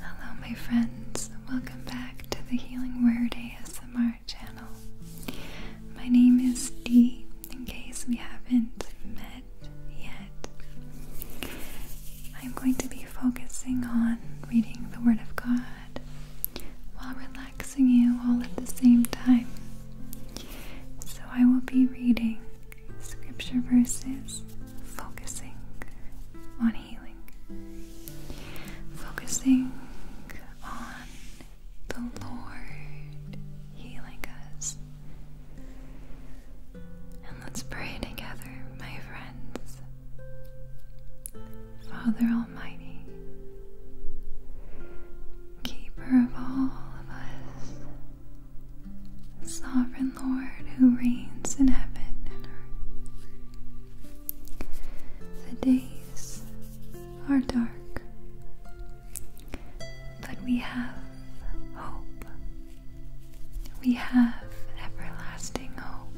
Hello, my friends. Welcome back to the Healing Word ASMR channel. My name is Dee, in case we haven't met yet. I'm going to be focusing on reading the Word of God while relaxing you all at the same time. So I will be reading scripture verses, focusing on healing, focusing on the Lord healing us. And let's pray together, my friends. Father Almighty, Keeper of all of us, Sovereign Lord who reigns in heaven and earth, the days are dark, but we have hope. We have everlasting hope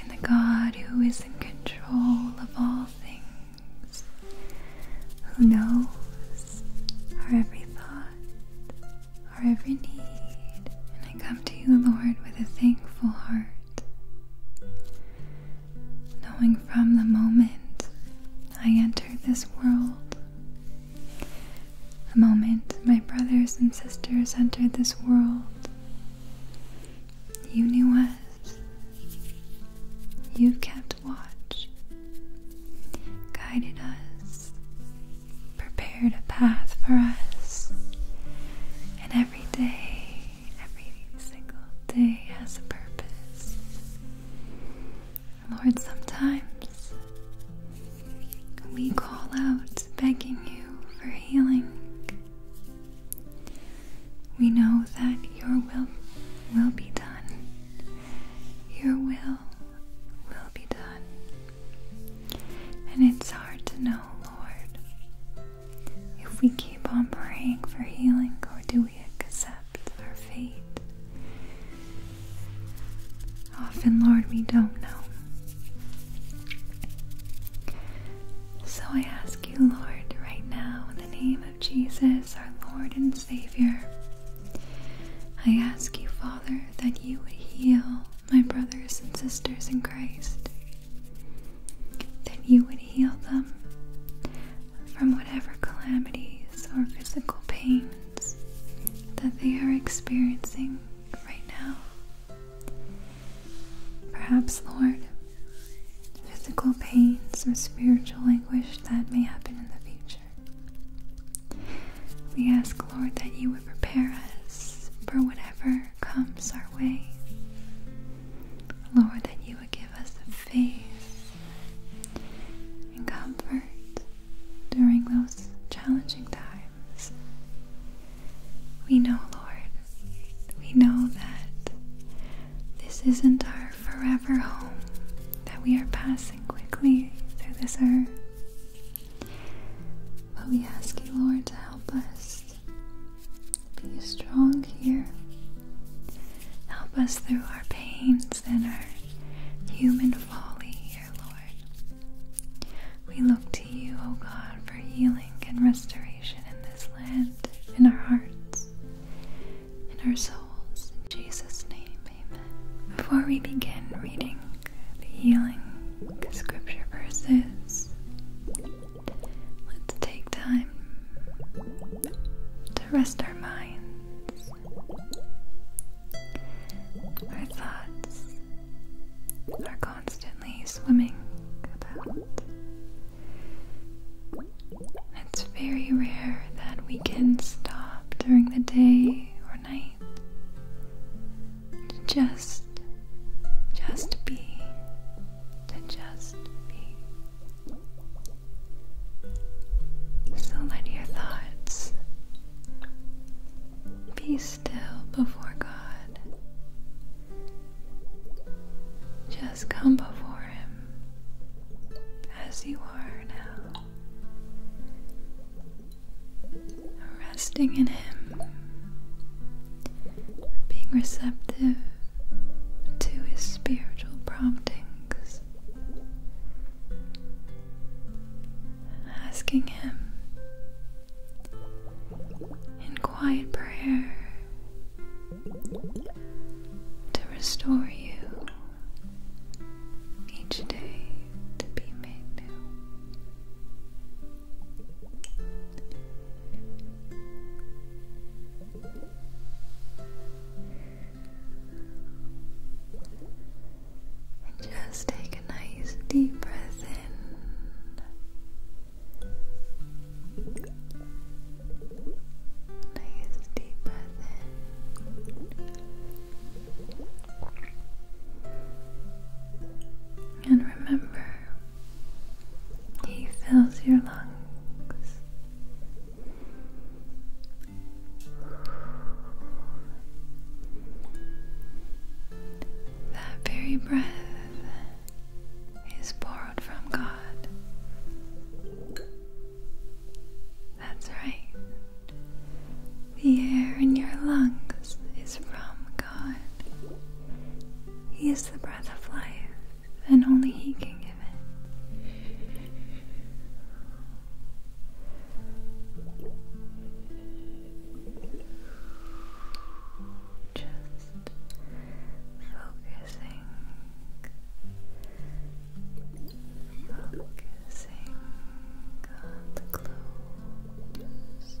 in the God who is in control of all things, who knows our every thought, our every need, and I come to you, Lord, with a thankful heart. Knowing from the moment I entered this world, the moment my brothers and sisters entered this world, you knew us. You've kept watch, guided us, prepared a path for us. And every day, every single day has a purpose. Lord, sometimes we call out begging you for healing. We know that your will will be done. Your will will be done. And it's hard to know, Lord, if we keep on praying for healing or do we accept our fate. Often, Lord, we don't know. So I ask you, Lord, right now, in the name of Jesus, our Lord and Savior, I ask you, Father, that you would heal my brothers and sisters in Christ, that you would heal them from whatever calamities or physical pains that they are experiencing right now. Perhaps, Lord, physical pains or spiritual anguish that may happen in the future. We ask, Lord, that you would prepare us for whatever comes our way. Lord, that you would give us the faith and comfort during those challenging times. We know, Lord, we know that this isn't our forever home, that we are passing quickly through this earth. But we ask you, Lord, to help us be strong here. Help us through our pains and our human folly Lord. We look to you, O God, for healing and restoration in this land, in our hearts, in our souls. In Jesus' name, amen. Before we begin reading the healing scripture verses. Let's take time to rest our minds, our thoughts are constantly swimming about. It's very rare that we can stop during the day or night just, just be, to just be. So let your thoughts be still before God. Just come before Him as you are now resting in Him, being receptive to His spiritual promptings, asking Him in quiet prayer to restore you each day to be just take a nice deep breath in. Nice deep breath in. And remember, he fills your lungs. That very breath is borrowed from God. That's right. The air in your lungs is from God. He is the breath of life, and only He can give it. Just focusing, focusing on the clothes.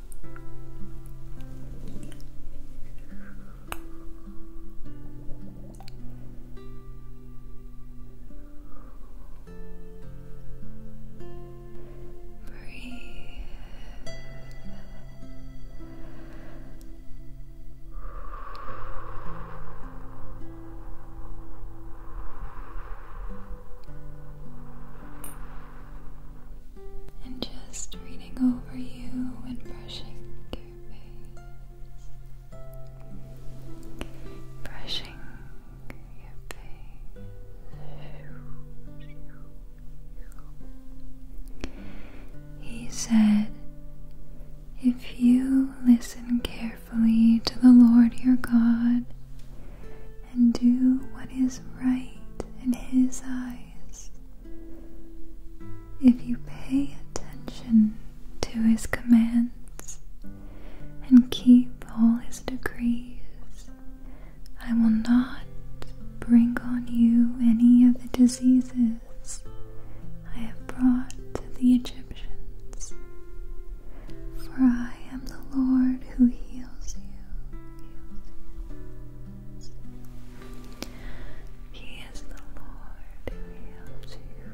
Breathe. Breathe and just reading over you and brushing your face, brushing your face. He said, If you listen carefully to the Lord your God and do what is right in His eyes, if you pay attention to his commands and keep all his decrees, I will not bring on you any of the diseases I have brought to the Egyptians. For I am the Lord who heals you. He is the Lord who heals you.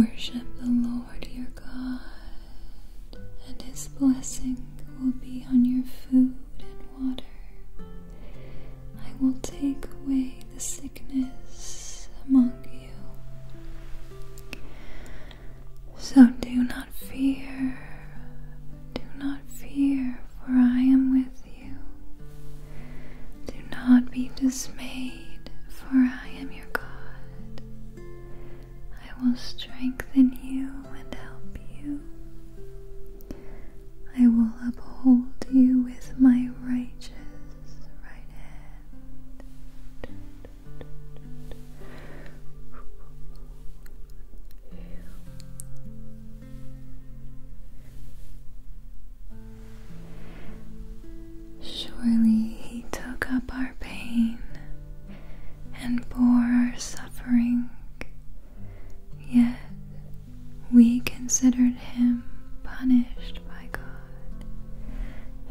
Worship the Lord your God, and his blessing will be on your food and water. I will take away the sickness. So do not fear, do not fear, for I am with you. Do not be dismayed, for I am your God. I will strengthen you and help you. I will uphold you with my righteous Surely he took up our pain and bore our suffering, yet we considered him punished by God,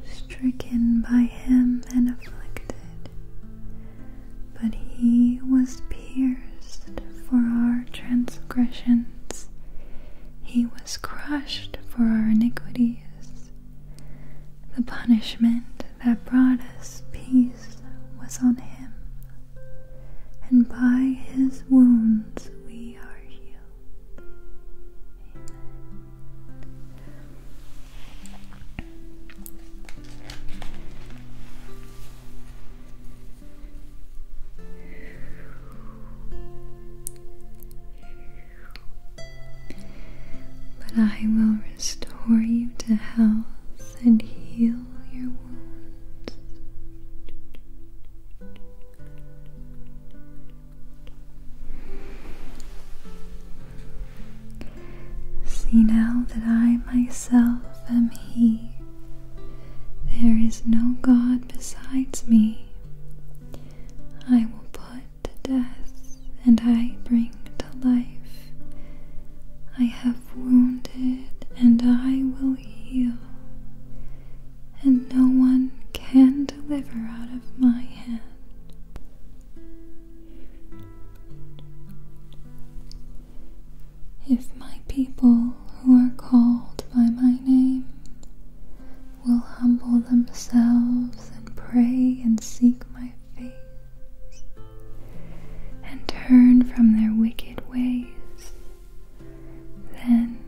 stricken by him and afflicted. But he was pierced for our transgressions, he was crushed for our iniquities. The punishment that brought us peace was on him, and by his wounds we are healed. But I will restore you to health and heal your wounds. See now that I myself am He. There is no God besides me. I will put to death, and I bring to life. I have wounded, and I will heal and no one can deliver out of my hand. If my people who are called by my name will humble themselves and pray and seek my face and turn from their wicked ways, then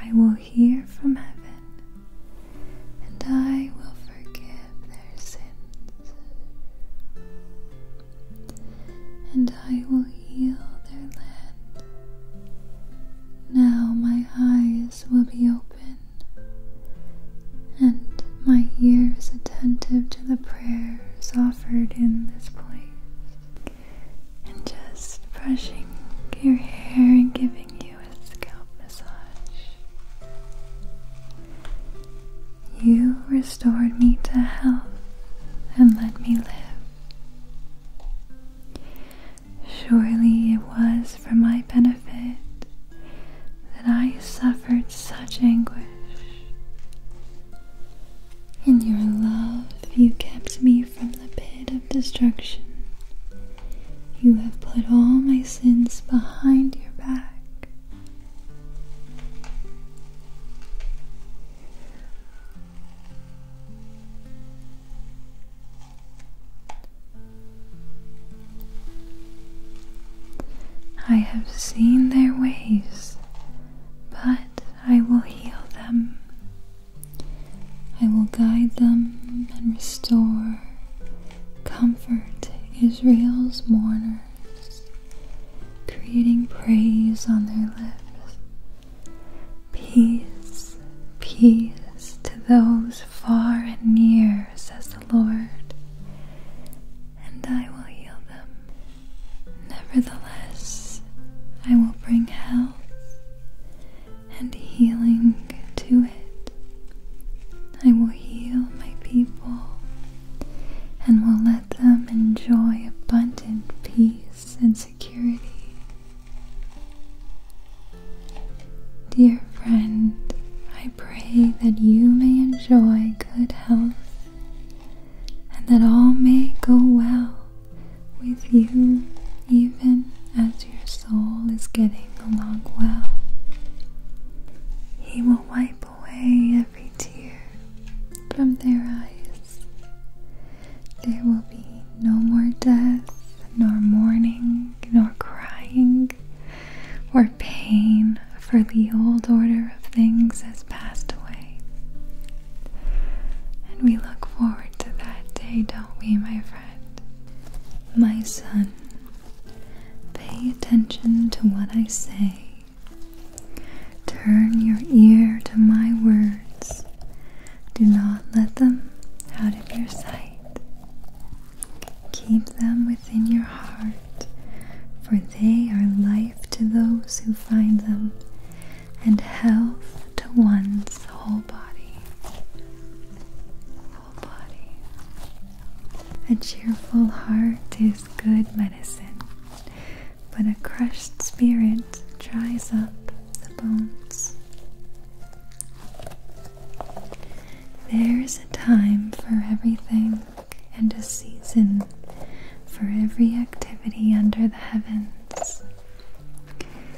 I will hear from heaven, and I will forgive their sins, and I will heal their land. Now my eyes will be open, and my ears attentive to the prayers offered in this place. And just brushing your hair and giving you restored me to health and let me live. Surely it was for my benefit that I suffered such anguish. In your love, you kept me from the pit of destruction you have put all my sins behind your back. I have seen their ways, but I will heal them. I will guide them and restore comfort Israel's mourners, creating praise on their lips. Peace, peace to those far and near, says the Lord, and I will heal them. Nevertheless, I will bring health and healing to it. I will heal my people and will let them enjoy abundant peace and security. Dear friend, I pray that you may enjoy good health and that all may go well with you even as your soul is getting along well. He will wipe away every tear from their eyes. There will be no more death, nor mourning, nor crying, or pain, for the old order of things has passed away. And we look forward to that day, don't we, my friend? My son, pay attention to what I say. Turn your ear to my words. Do not let them out of your sight. Keep them within your heart, for they are life to those who find them, and health to one's whole body. A cheerful heart is good medicine, but a crushed spirit dries up the bones. There's a time for everything and a season for every activity under the heavens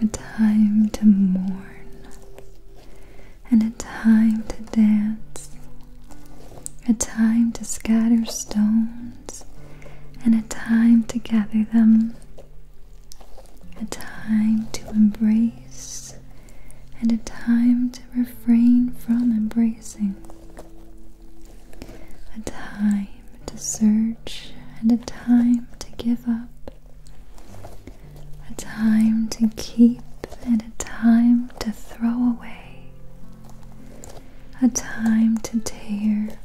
a time to mourn, and a time to dance, a time to scatter stones, and a time to gather them, a time to embrace, and a time to refrain from embracing. A time to search and a time to give up, a time to keep and a time to throw away, a time to tear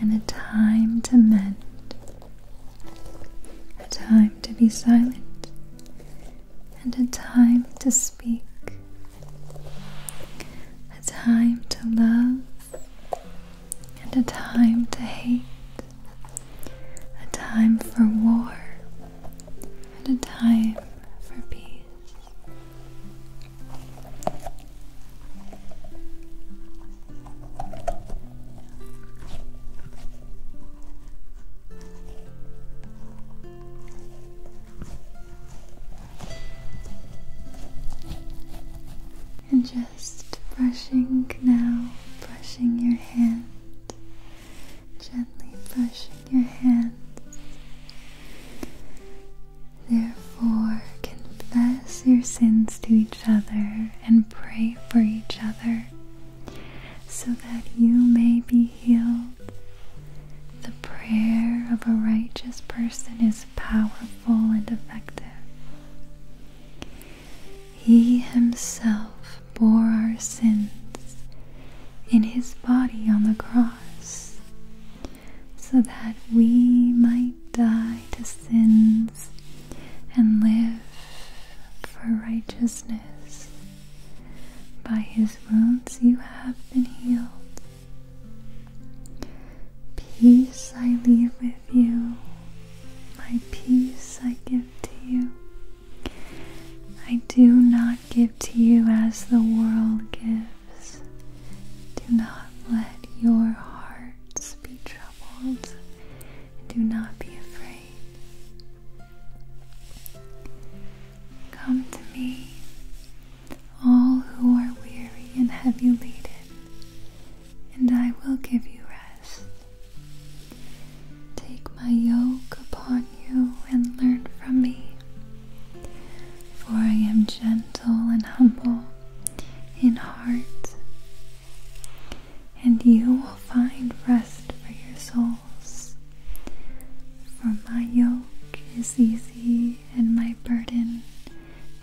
and a time to mend, a time to be silent and a time to speak, a time to love and a time to hate, a time for war, and a time for peace and just brushing now, brushing your hand, gently brushing your hand. Therefore, confess your sins to each other and pray for each other so that you may be healed. The prayer of a righteous person is powerful and effective. He himself bore our sins in his body on the cross, so that we might die to sins and live for righteousness. By his wounds you have been healed. Peace I leave with you, my peace I give to you. I do not give to you as the world gives. Do not let your hearts be troubled. Do not be afraid. Come to me, all who are weary and heavy laden, and I will give you rest. Take my yoke upon you and learn from me, for I am gentle and humble in heart, and you will find rest for your souls. For my yoke is easy and my burden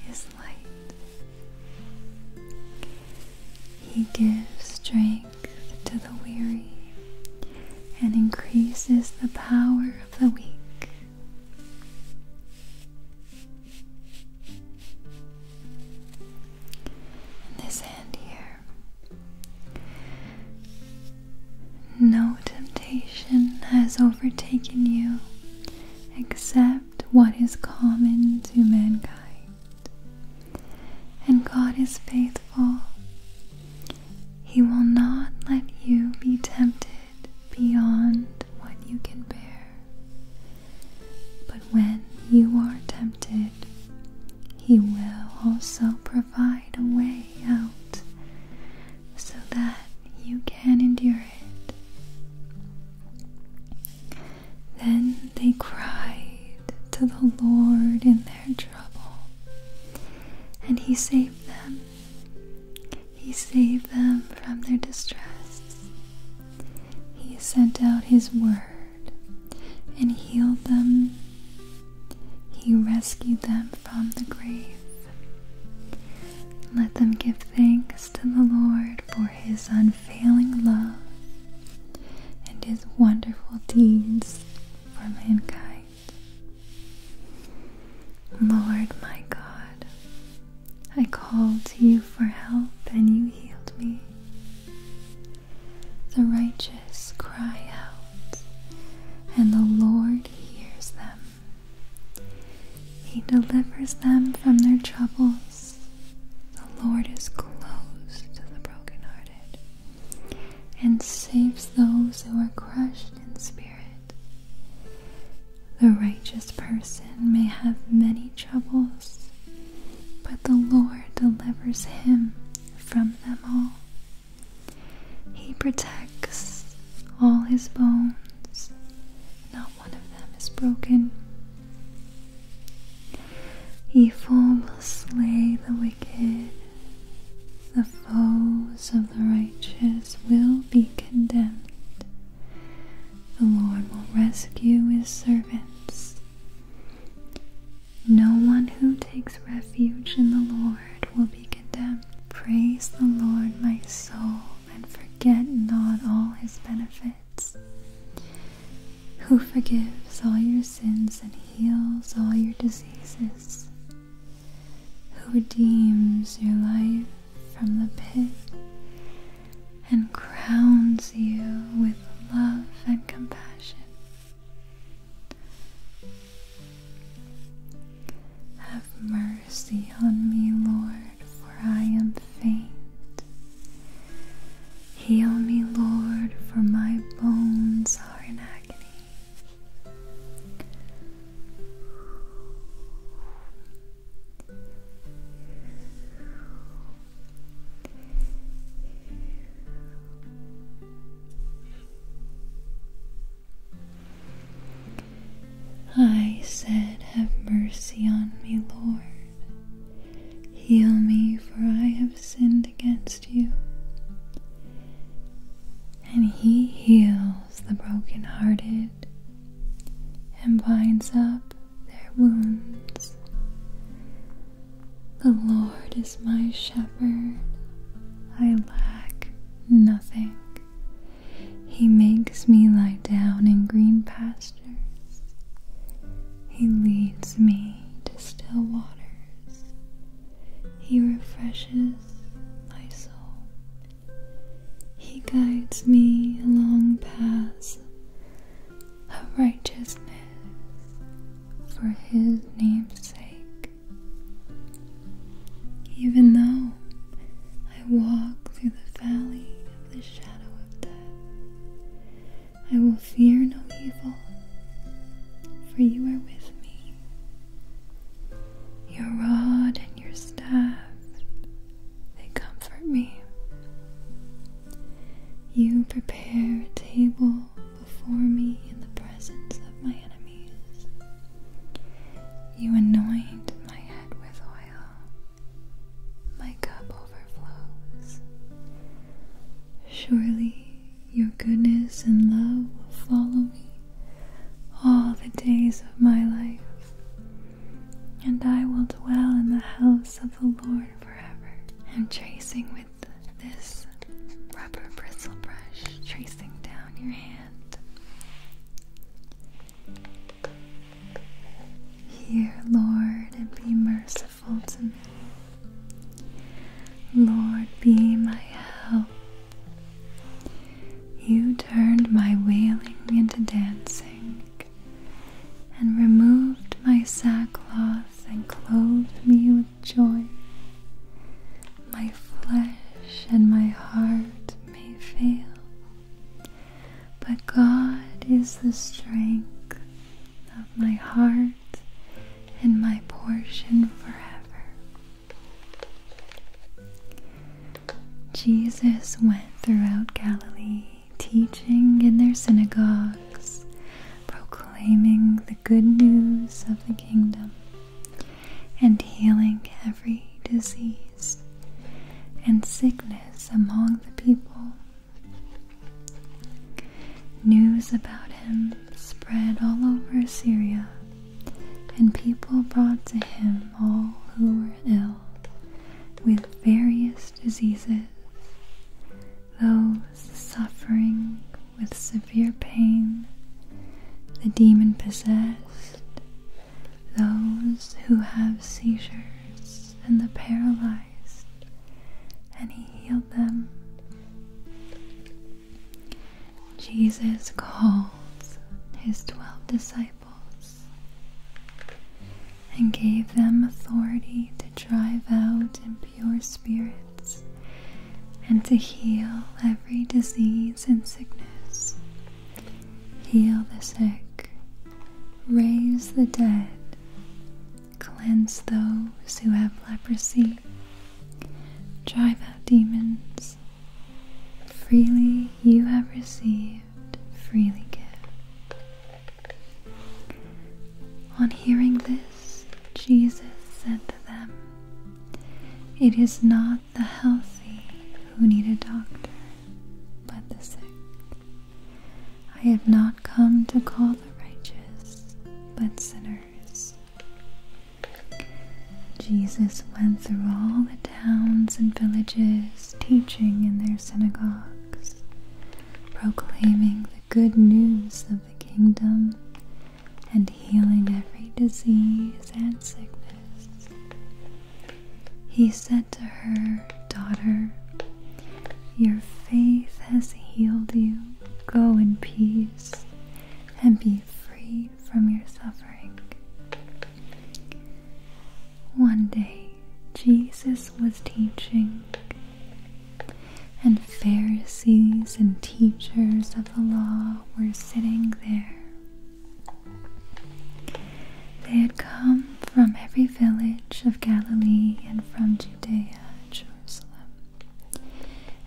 is light. He gives strength to the weary and increases the power of the weak. this hand here, no temptation has overtaken you except what is common to mankind. And God is faithful. He will not let you be tempted beyond what you can bear. But when you are tempted, He will also provide a way out so that you can endure it. Then they cried to the Lord in their trouble, and He saved them. He saved them from their distress. He sent out His word and healed them. He rescued them from the grave. Let them give thanks to the Lord for His unfailing love. Failing love and his wonderful deeds for mankind. Lord my God, I called to you for help and you healed me. The righteous cry out, and the Lord hears them. He delivers them from their troubles the Lord is close to the brokenhearted and saves those who are crushed in spirit. The righteous person may have many troubles, but the Lord delivers him from them all. He protects all his bones, not one of them is broken. Evil will slay the wicked. The foes of the righteous will be condemned. The Lord will rescue his servants. No one who takes refuge in the Lord will be condemned. Praise the Lord, my soul, and forget not all his benefits who forgives all your sins and heals all your diseases, who redeems your life from the pit and crowns you with love and compassion. Have mercy on me, Lord, for I am faint. Heal me, Lord, for my bones are in agony. I said, Have mercy on me, Lord. Heal me, for I have sinned against you. And he heals the brokenhearted and binds up their wounds. The Lord is my shepherd, I lack nothing. He makes me lie down in green pastures, He leads me to still waters. He refreshes my soul. He guides me along paths of righteousness for His name's sake. Even though I walk through the valley of the shadow of death, I will fear no evil, for you are with me. Your rod and your staff, they comfort me. You prepare a table before me in the presence of my enemies. You anoint my head with oil, my cup overflows. Surely your goodness and love will follow me all the days of my life, and I will dwell in the house of the Lord forever. I'm tracing with this rubber bristle brush, tracing down your hand. Hear, Lord, and be merciful to me. Lord, be my help. You turned my wailing into dancing, and removed my sackcloth and clothed me with joy. My flesh and my heart may fail, but God is the strength of my heart and my portion forever. Jesus went throughout Galilee, teaching in their synagogues, proclaiming the good news of the kingdom, and healing every disease and sickness among the people. News about him spread all over Syria, and people brought to him all who were ill with various diseases, those suffering with severe pain, the demon possessed, those who have seizures, and the paralyzed and he healed them. Jesus called his twelve disciples and gave them authority to drive out impure spirits and to heal every disease and sickness. Heal the sick, raise the dead, cleanse those who have leprosy, drive out demons. Freely you have received, freely give. On hearing this, Jesus said to them, It is not the healthy who need a doctor, but the sick. I have not come to call the righteous, but sinners. Jesus went through all the towns and villages, teaching in their synagogues, proclaiming the good news of the kingdom, and healing every disease and sickness. He said to her, Daughter, your faith has healed you. Go in peace and be free from your suffering. One day, Jesus was teaching, and Pharisees and teachers of the law were sitting there. They had come from every village of Galilee and from Judea Jerusalem.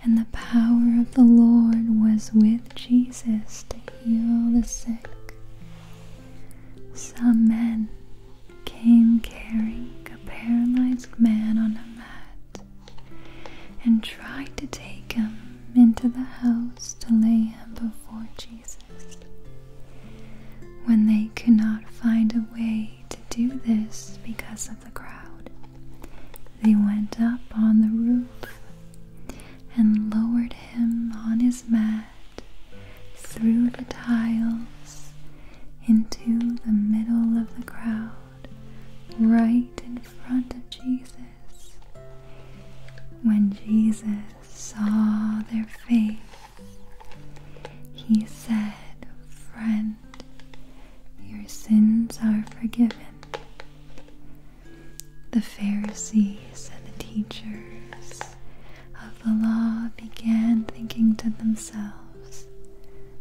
And the power of the Lord was with Jesus to heal the sick. Some men came carrying a paralyzed man on a mat and tried to take him into the house to lay him before Jesus. When they could not find a way to do this because of the crowd. They went up on the roof and lowered him on his mat through the tiles into the middle of the crowd, right in front of Jesus. When Jesus saw their faith, he said, Friend, your sins are forgiven. The Pharisees and the teachers of the law began thinking to themselves,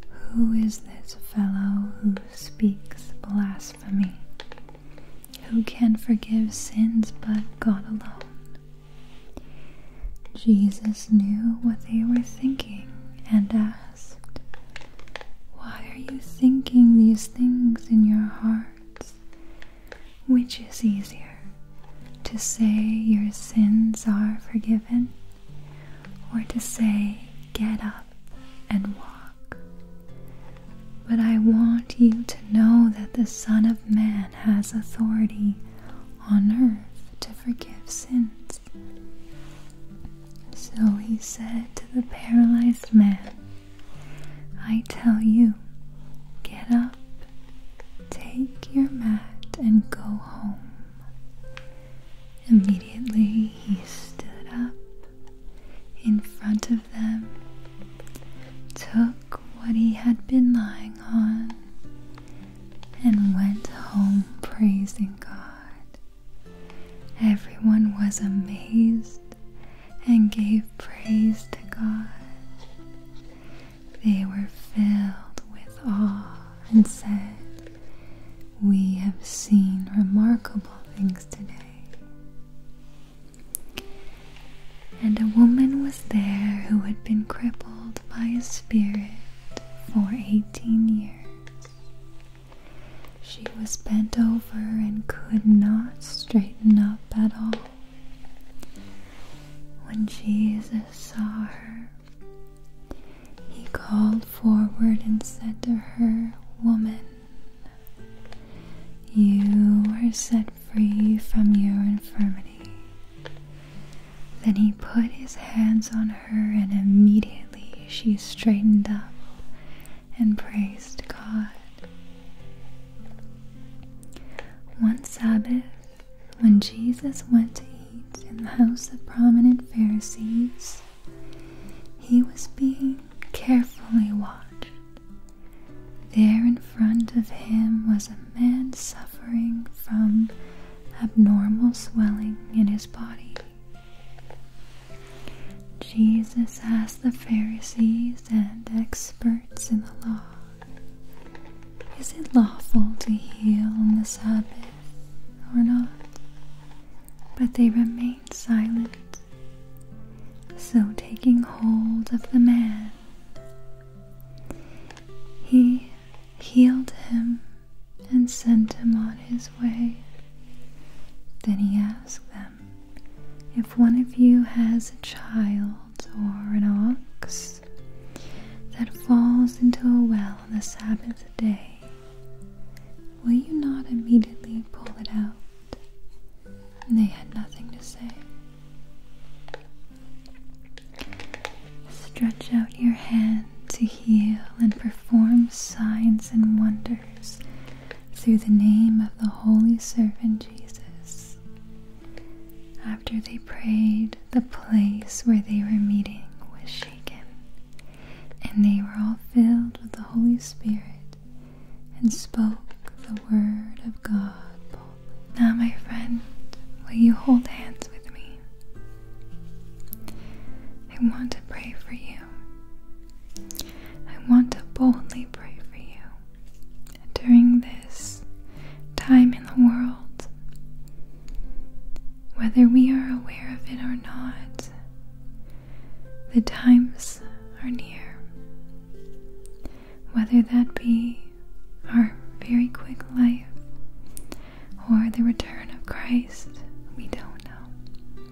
Who is this fellow who speaks blasphemy? Who can forgive sins but God alone? Jesus knew what they were thinking and asked, why are you thinking these things in your hearts? Which is easier, to say your sins are forgiven, or to say, Get up and walk? But I want you to know that the Son of Man has authority on earth to forgive sins. So he said to the paralyzed man, I tell you, get up, take your mat, and go home. Immediately he stood up in front of them, took what he had been lying on, and went home praising God. Everyone was amazed and gave praise to God. They were filled with awe and said, We have seen remarkable things today. And a woman was there who had been crippled by a spirit for eighteen years. She was bent over and could not straighten up at all. When Jesus saw her, he called forward and said to her, Woman, you are set free from your infirmity. Then he put his hands on her and immediately she straightened up and praised God. One Sabbath, when Jesus went to eat in the house of prominent Pharisees, he was being carefully watched. There in front of him was a man suffering from abnormal swelling in his body. Jesus asked the Pharisees and experts in the law, Is it lawful to heal on the Sabbath or not? But they remained silent. So, taking hold of the man, he healed him and sent him on his way. Then he asked them, If one of you has a child or an ox that falls into a well on the Sabbath day, will you not immediately pull it out? And they had nothing to say. Stretch out your hand to heal and perform signs and wonders through the name of the holy servant Jesus. After they prayed, the place where they were meeting was shaken, and they were all filled with the Holy Spirit and spoke the word of God Now, my friend, will you hold hands with me? I want to pray for you. I want to boldly pray for you during this time in the world. Whether we are aware of it or not, the times are near. Whether that be our very quick life or the return of Christ, we don't know.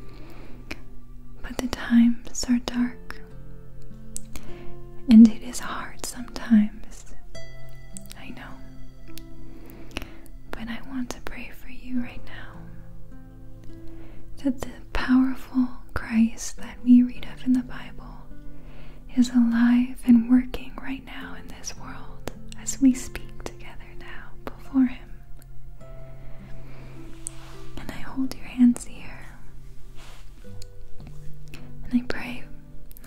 But the times are dark, and it is hard sometimes. I know. But I want to pray for you right now that the powerful Christ that we read of in the Bible is alive and working right now in this world as we speak together now before Him. And I hold your hands here. And I pray,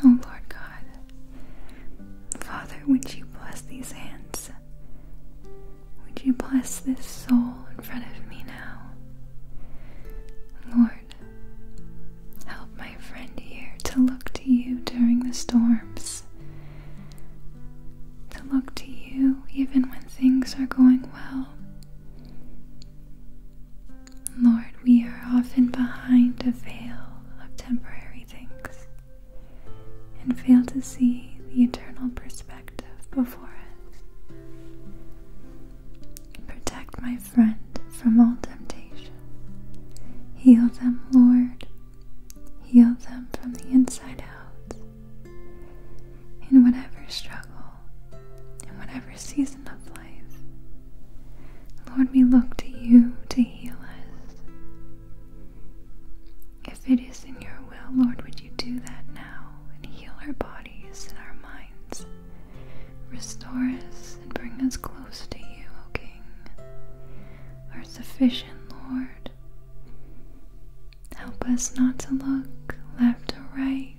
oh Lord God, Father, would you bless these hands? Would you bless this soul in front of me now? Lord, help my friend here to look to you during the storms to look to you even when things are going well. Lord, we are often behind a veil of temporary things and fail to see the eternal perspective before us. Protect my friend from all temptation. Heal them, Lord. Heal them from the inside out in whatever struggle, in whatever season of life. Lord, we look to you to heal us. If it is in your will, Lord, would you do that now and heal our bodies and our minds? Restore us and bring us close to you, O King, our sufficient Lord, Help us not to look left or right,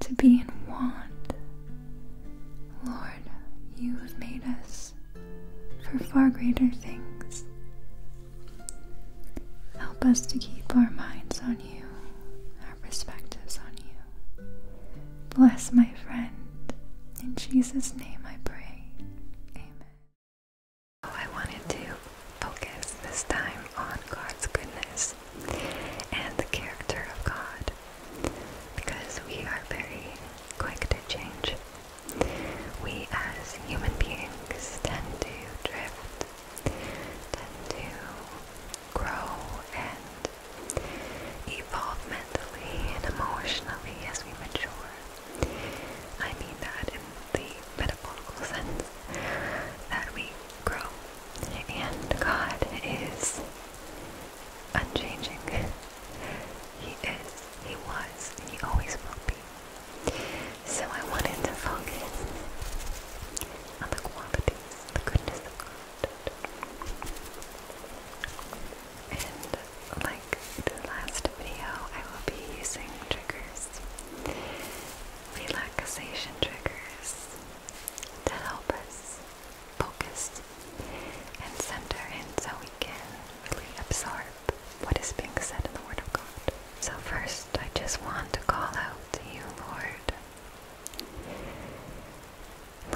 to be in want. Lord, you have made us for far greater things. Help us to keep our minds on you, our perspectives on you. Bless my friend. In Jesus' name I pray. Amen. I wanted to focus this time on God's goodness and the character of God because we are very quick to change. We as human beings tend to drift, tend to grow and evolve mentally and emotionally as we mature. I mean that in the metaphysical sense that we grow. And God is unchanging. He is, He was, and He always will be. So I wanted to focus on the qualities, the goodness of God. And like the last video, I will be using triggers, relaxation triggers, to help us focus and center in so we can really absorb what is being said in the Word of God. So, first, I just want to call out to you, Lord.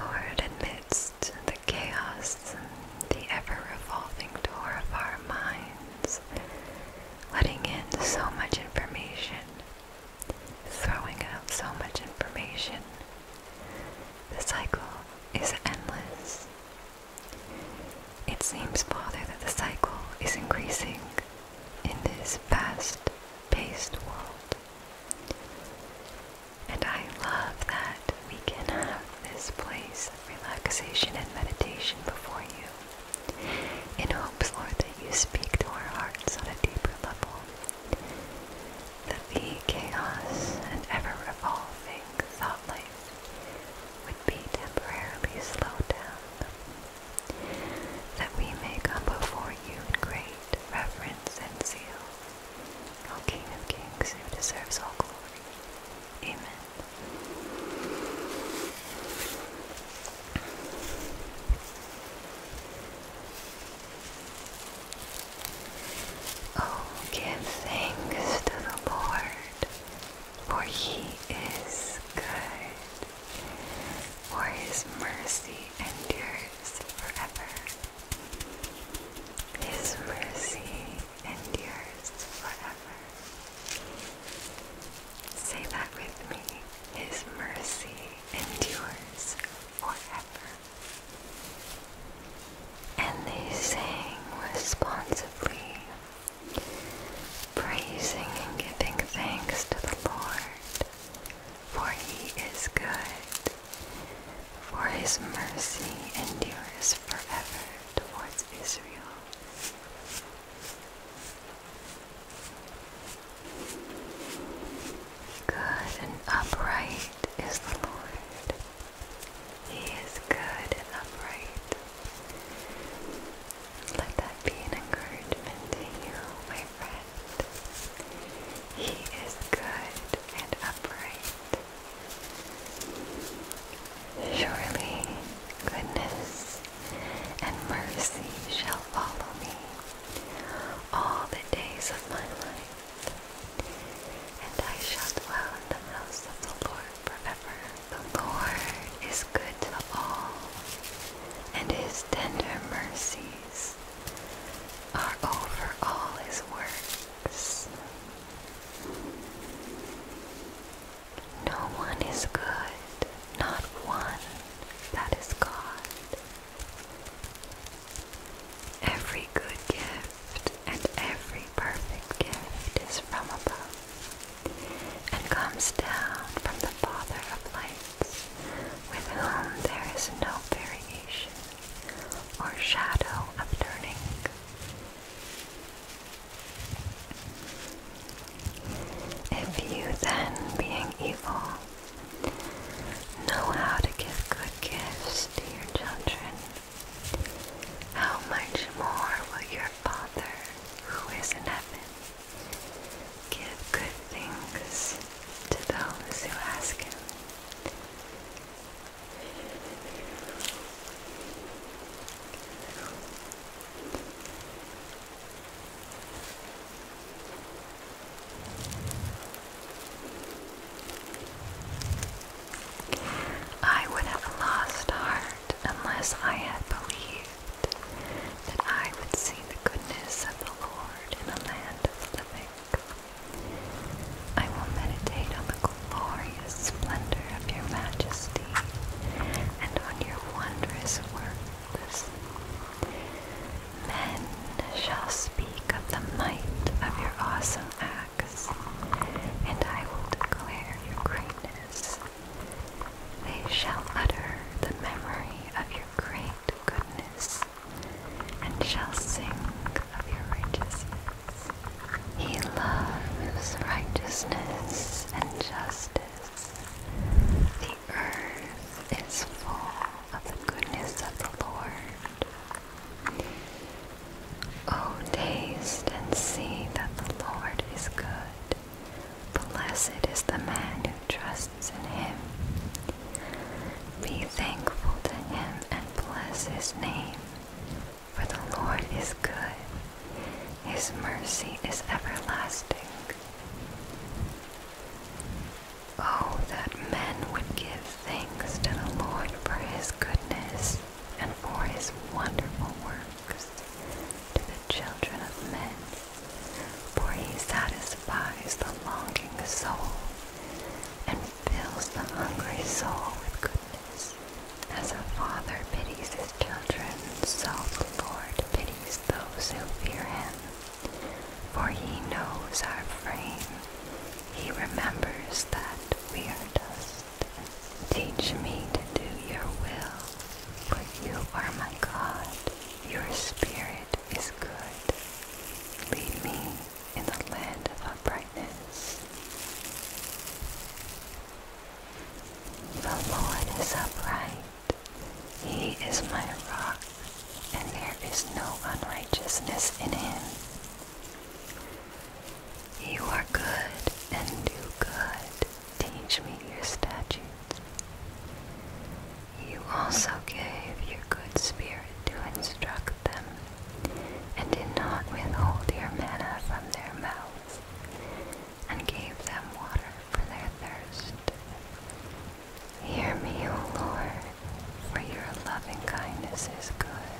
Lord, amidst the chaos, the ever revolving door of our minds, letting in so much information, throwing out so much information. The cycle is endless. It seems, Father, that the cycle is increasing in this fast paced world. And I love that we can have this place of relaxation and meditation before you. In hopes, Lord, that you speak to our hearts on a deeper level, that the chaos and ever revolving thought life would be temporarily slowed down, that we may come before you in great reverence and zeal, O King of Kings, who deserves all glory. Amen. Oh, give thanks to the Lord, for he is good, for his mercy endures forever. His mercy endures forever. Say that with me. His mercy endures forever. And they sang responsively, praising and giving thanks to the Lord, for he is good, for his mercy endures forever towards Israel. Good and upright is the Lord. He is good and upright. Let that be an encouragement to you, my friend. He is good and upright. Surely goodness and mercy shall follow me all the days of my life, and I shall dwell in the house of the Lord forever. The Lord is good to all, and his tender mercies are over all his works. No one is good, not one that is God. Every good gift and every perfect gift is from above and comes down from the Father of lights, with whom there is no variation or shadow of turning. If you then, being evil, know how to give good gifts to your children, how much more will your Father who is in heaven give good things to those who ask him? I would have lost heart unless I had believed that I would see the goodness of the Lord in a land of the living. I will meditate on the glorious splendor of your majesty and on your wondrous Men shall speak of the might of your awesome acts, and I will declare your greatness. They shall utter the memory of your great goodness, and shall sing of your righteousness. He loves righteousness and justice. The earth is full of the goodness of the Lord. Oh, taste and see that the Lord is good. Blessed is the man who trusts in him. Be thankful to him and bless his name, for the Lord is good. His mercy is everlasting. Oh, that men would give thanks to the Lord for his goodness and for his wonderful works to the children of men, for he satisfies the longing soul and fills the hungry soul with goodness. As a father pities his children, so the Lord pities those who fear him, for he knows our frame. He remembers that we are dust. Teach me to do your will, for you are my God. Your spirit is good. Lead me in the land of uprightness. The Lord is upright. He is my rock, and there is no unrighteousness in him. You are good and do good. Teach me your statutes. You also gave your good spirit to instruct them, and did not withhold your manna from their mouths and gave them water for their thirst. Hear me, O Lord, for your loving kindness is good.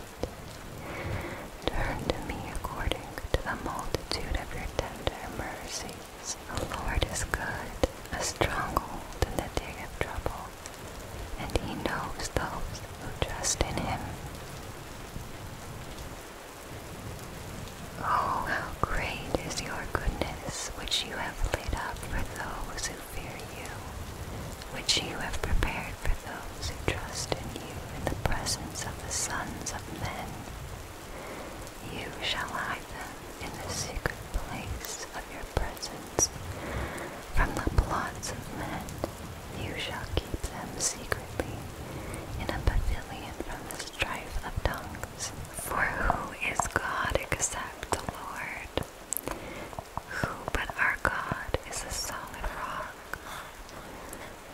Turn to me according to the multitude of your tender mercies. The Lord is good, a stronghold in the day of trouble, and he knows those who trust in him. Oh, how great is your goodness, which you have laid up for those who fear you, which you have prepared for those who trust in you in the presence of the sons of men. You shall hide them in the secret place of your presence. From the plots of men, you shall keep them secretly in a pavilion from the strife of tongues. For who is God except the Lord? Who but our God is a solid rock?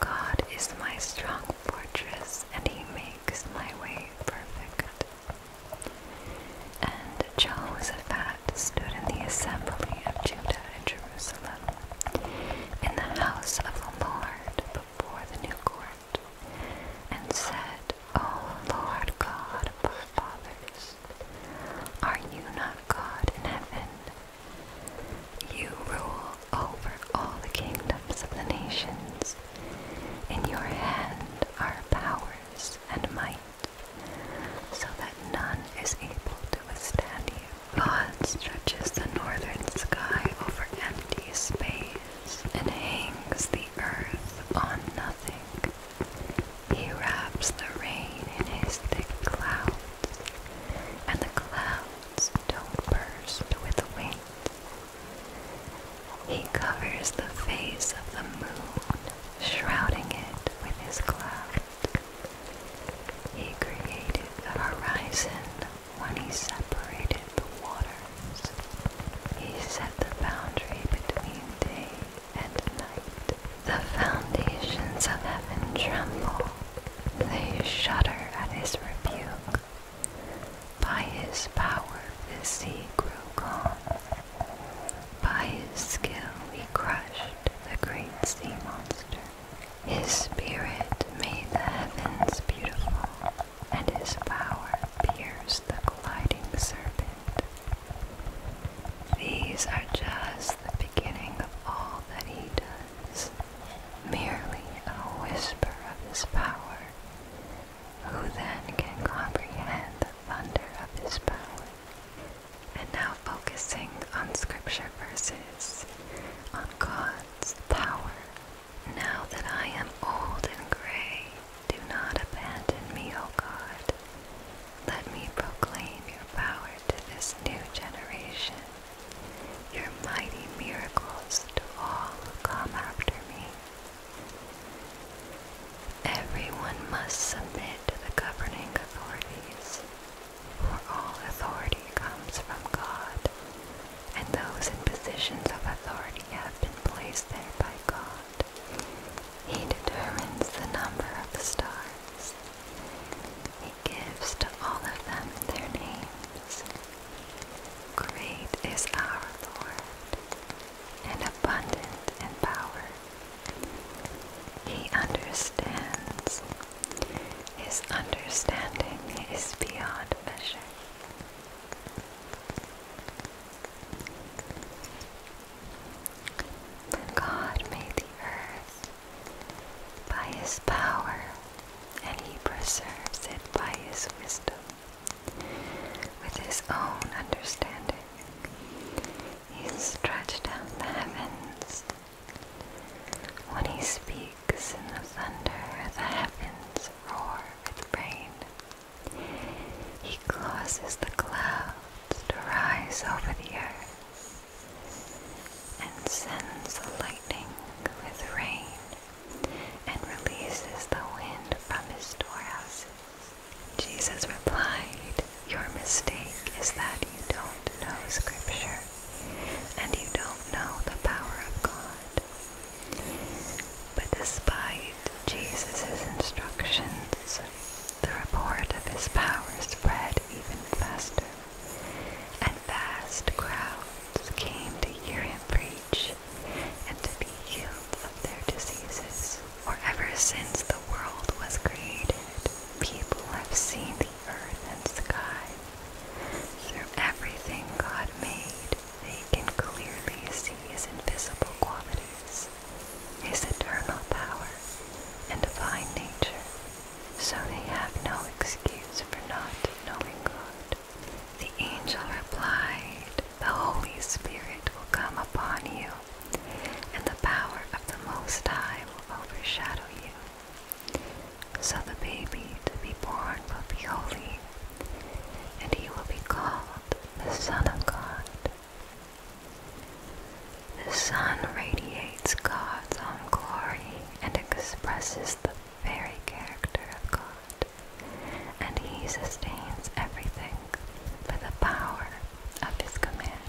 God is my strong fortress, and He makes my way perfect. And Joseph Jehoshaphat stood in the assembly of Judah and Jerusalem, in the house of the Lord before the new court and said, O Lord God of our fathers, are you not God in heaven? You rule over all the kingdoms of the nations. In your hand are powers and might, so that none is able to withstand you. God stretches the northern sky over empty space and hangs the earth on nothing. He wraps the rain in his thick clouds, and the clouds don't burst with wind. He covers the face of the moon, shrouding it with his cloud. He created the horizon when he separated the waters, he set the boundary between day and night. The foundations of heaven tremble, they shudder at his rebuke. By his power the sea grew calm. By his skill he crushed the great sea monster. His spirit made the heavens beautiful and his power pierces the gliding serpent. These are just the beginning of all that he does, merely a whisper of his power. Who then can comprehend the thunder of his power? And now focusing on scripture verses, on God's power now that I am old and gray, do not abandon me, O God. Let me proclaim your power to this new generation, your mighty miracles to all who come after me. Everyone must submit to the governing authorities, for all authority comes from God, and those in positions of authority we have been placed there by God. He determines the number of the stars. He gives to all of them their names. Great is our Lord, and abundant in power. He understands. His understanding is beyond measure. God made the earth by his power, and he preserves it by his wisdom. With his own understanding, he stretches out the heavens. When he speaks in the thunder, the heavens roar with rain. He causes the clouds to rise over the earth and sends the lightning with rain and releases the wind from his storehouses. Jesus replied, Your mistake is that you don't know Scripture and you don't know the power of God. But despite Jesus' instructions, the report of his power spread even faster, and vast crowds came to hear him preach and to be healed of their diseases. For ever since the world was created, people have seen the earth and sky. Through everything God made, they can clearly see his invisible qualities, his eternal power, and divine nature, so they have no excuse for not knowing God. The angel replied, The Holy Spirit will come upon you, and the power of the Most High will overshadow you. So the baby to be born will be holy, and he will be called the Son of God. The sun radiates God's own glory and expresses the very character of God, and he sustains everything by the power of his command.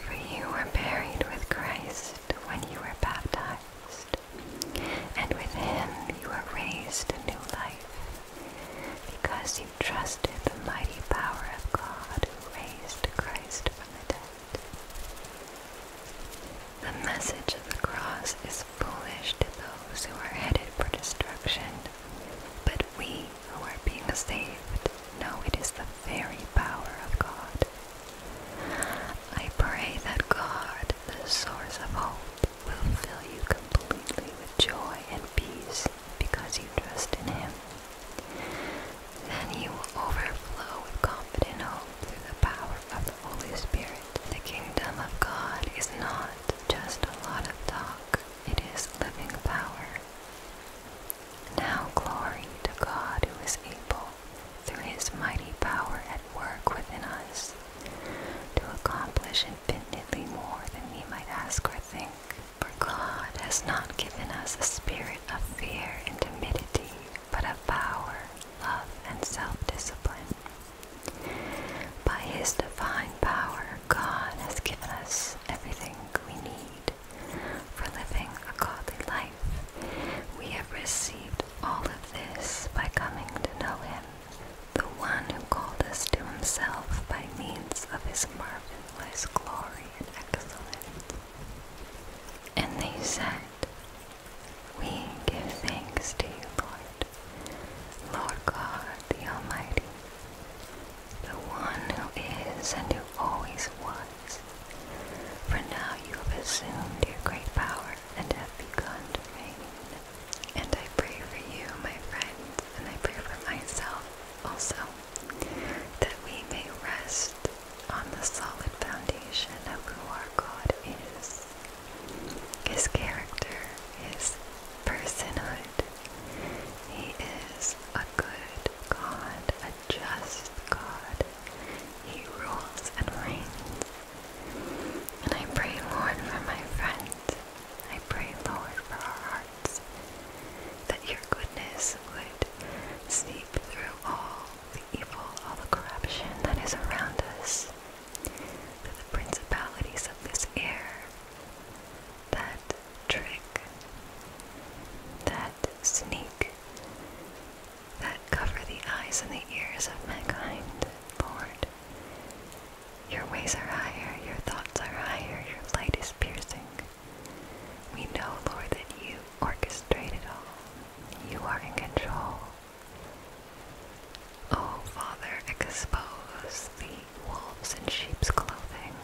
For you are buried with Christ when you were baptized, and with him you were raised to new life, because you trusted the mighty power of God who raised Christ from the dead. The message of the cross is foolish to those who are headed for destruction, but we who are being saved know it is the very power of God. I pray that God, the source of hope, will fill you completely with joy and peace because you trust in Him. Then you will overflow with confident hope through the power of the Holy Spirit. The kingdom of God is not just a lot of talk, it is living power. Now glory to God who is able through his mighty power at work within us to accomplish infinitely more than we might ask or think. For God has not given us a spirit of fear and timidity, but of power, love, and self-discipline. By His divine power, God has given us everything we need for living a godly life. We have received all of this by coming to know him, the one who called us to himself by means of his marvelous glory and excellence. And they said, We give thanks to you, Lord, Lord God the Almighty, the one who is and who always was for now you have assumed your great power and have begun to reign. And I pray for you, my friends, and I pray for myself also, that we may rest on the solid foundation of who our God is, His character, His personhood. He is a good God, a just God, he rules and reigns. And I pray, Lord, for my friends. I pray, Lord, for our hearts, that your goodness would seep through all the evil, all the corruption that is around us, that the principalities of this air, that trick, that sneak, that cover the eyes and the ears of mankind, Lord. Your ways are higher, your thoughts are higher, your light is piercing. We know, Lord, that you orchestrate it all. You are in control. Oh, Father, expose the wolves in sheep's clothing.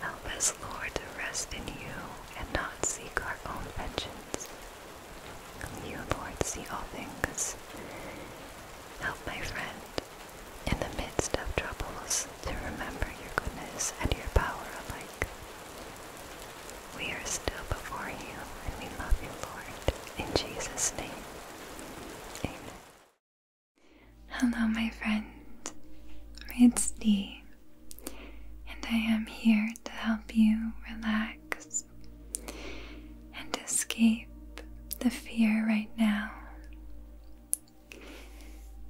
Help us, Lord, to rest in you and not seek our own vengeance. You Lord see all things. Help my friend in the midst of troubles to remember your goodness and your power alike. We are still before you and we love you, Lord. In Jesus' name. Amen. Hello, my friend. It's Dee and I am here to help you relax and escape the fear right now.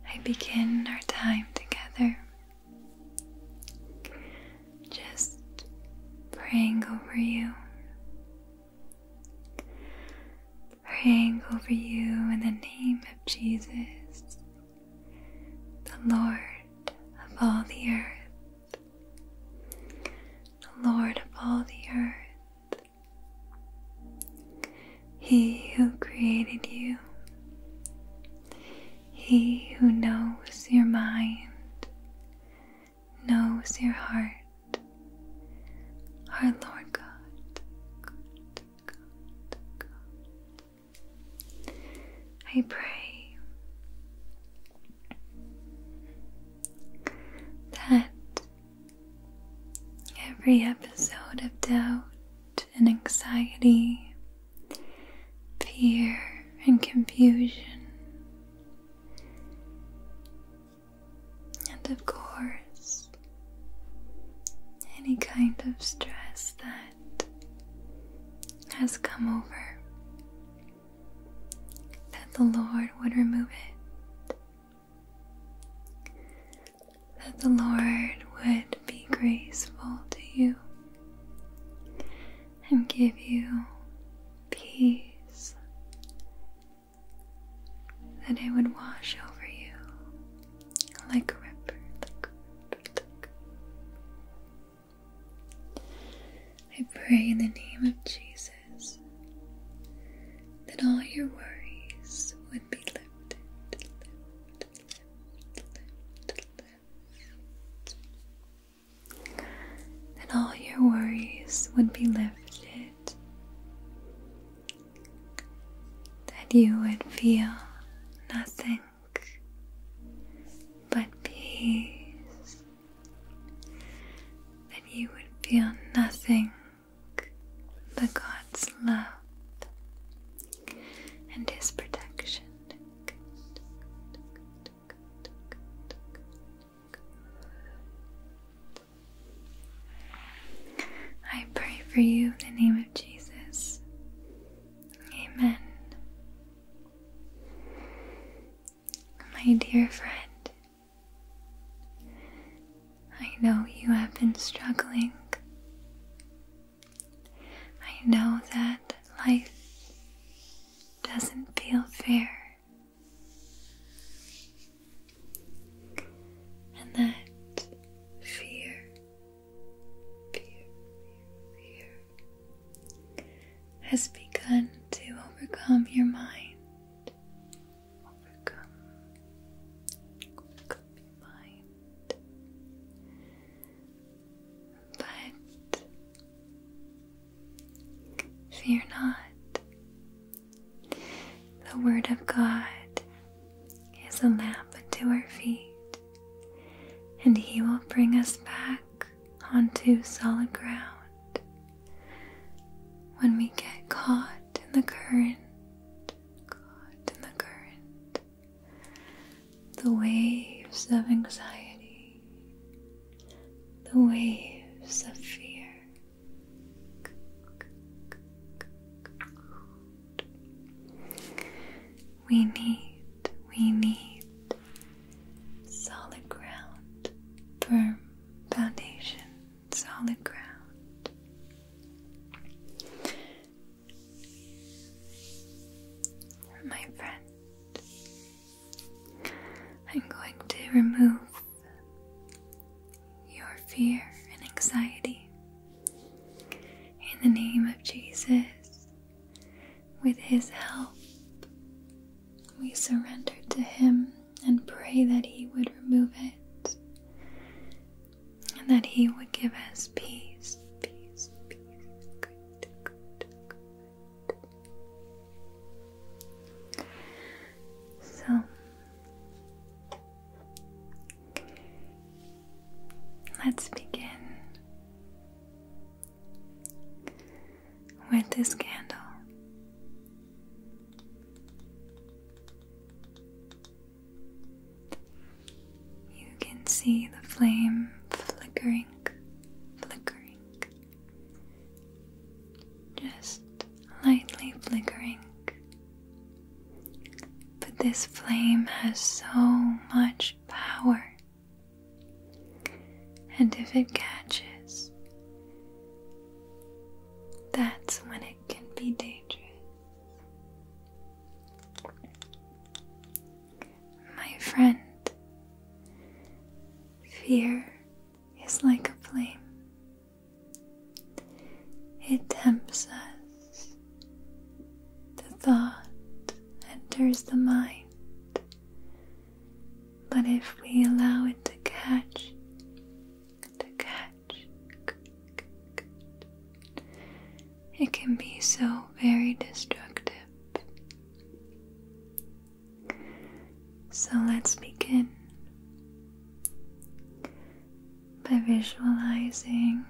I begin our time together. Just praying over you. Praying over you in the name of Jesus the Lord of all the earth, the Lord of all the earth, He who created you, He who knows your mind, knows your heart. Our Lord God, I pray that every episode of doubt and anxiety, fear and confusion, and of course, any kind of stress that has come over, that the Lord would remove it, that the Lord would be graceful to you and give you peace, that it would wash over you like a river. like a river. I pray in the name of Jesus that all your worries would be lifted, That all your worries would be lifted. That you would feel nothing but peace, that you would feel nothing but God's love and His protection. I pray for you in the name of Jesus. Amen. My dear friend, I know you have been struggling. I know that life doesn't feel fair, and that fear, fear, fear, has begun to overcome your mind. Overcome, your mind. But fear not. The Word of God is a lamp unto our feet, and He will bring us back onto solid ground. When we get caught in the current, caught in the current, the waves of anxiety, the waves of fear. We need we need solid ground, firm foundation, solid ground. My friend, I'm going to remove your fear and anxiety. In the name of Jesus, with His help, we surrendered to Him and pray that He would remove it and that He would give us peace. So, let's begin with this candle. You can see the flame flickering, flickering, just lightly flickering. But this flame has so much power. And if it catches, that's when it can be dangerous. My friend, fear is like a flame. It tempts us. The thought enters the mind but if we allow it to catch, to catch, it can be so very destructive. So let's begin by visualizing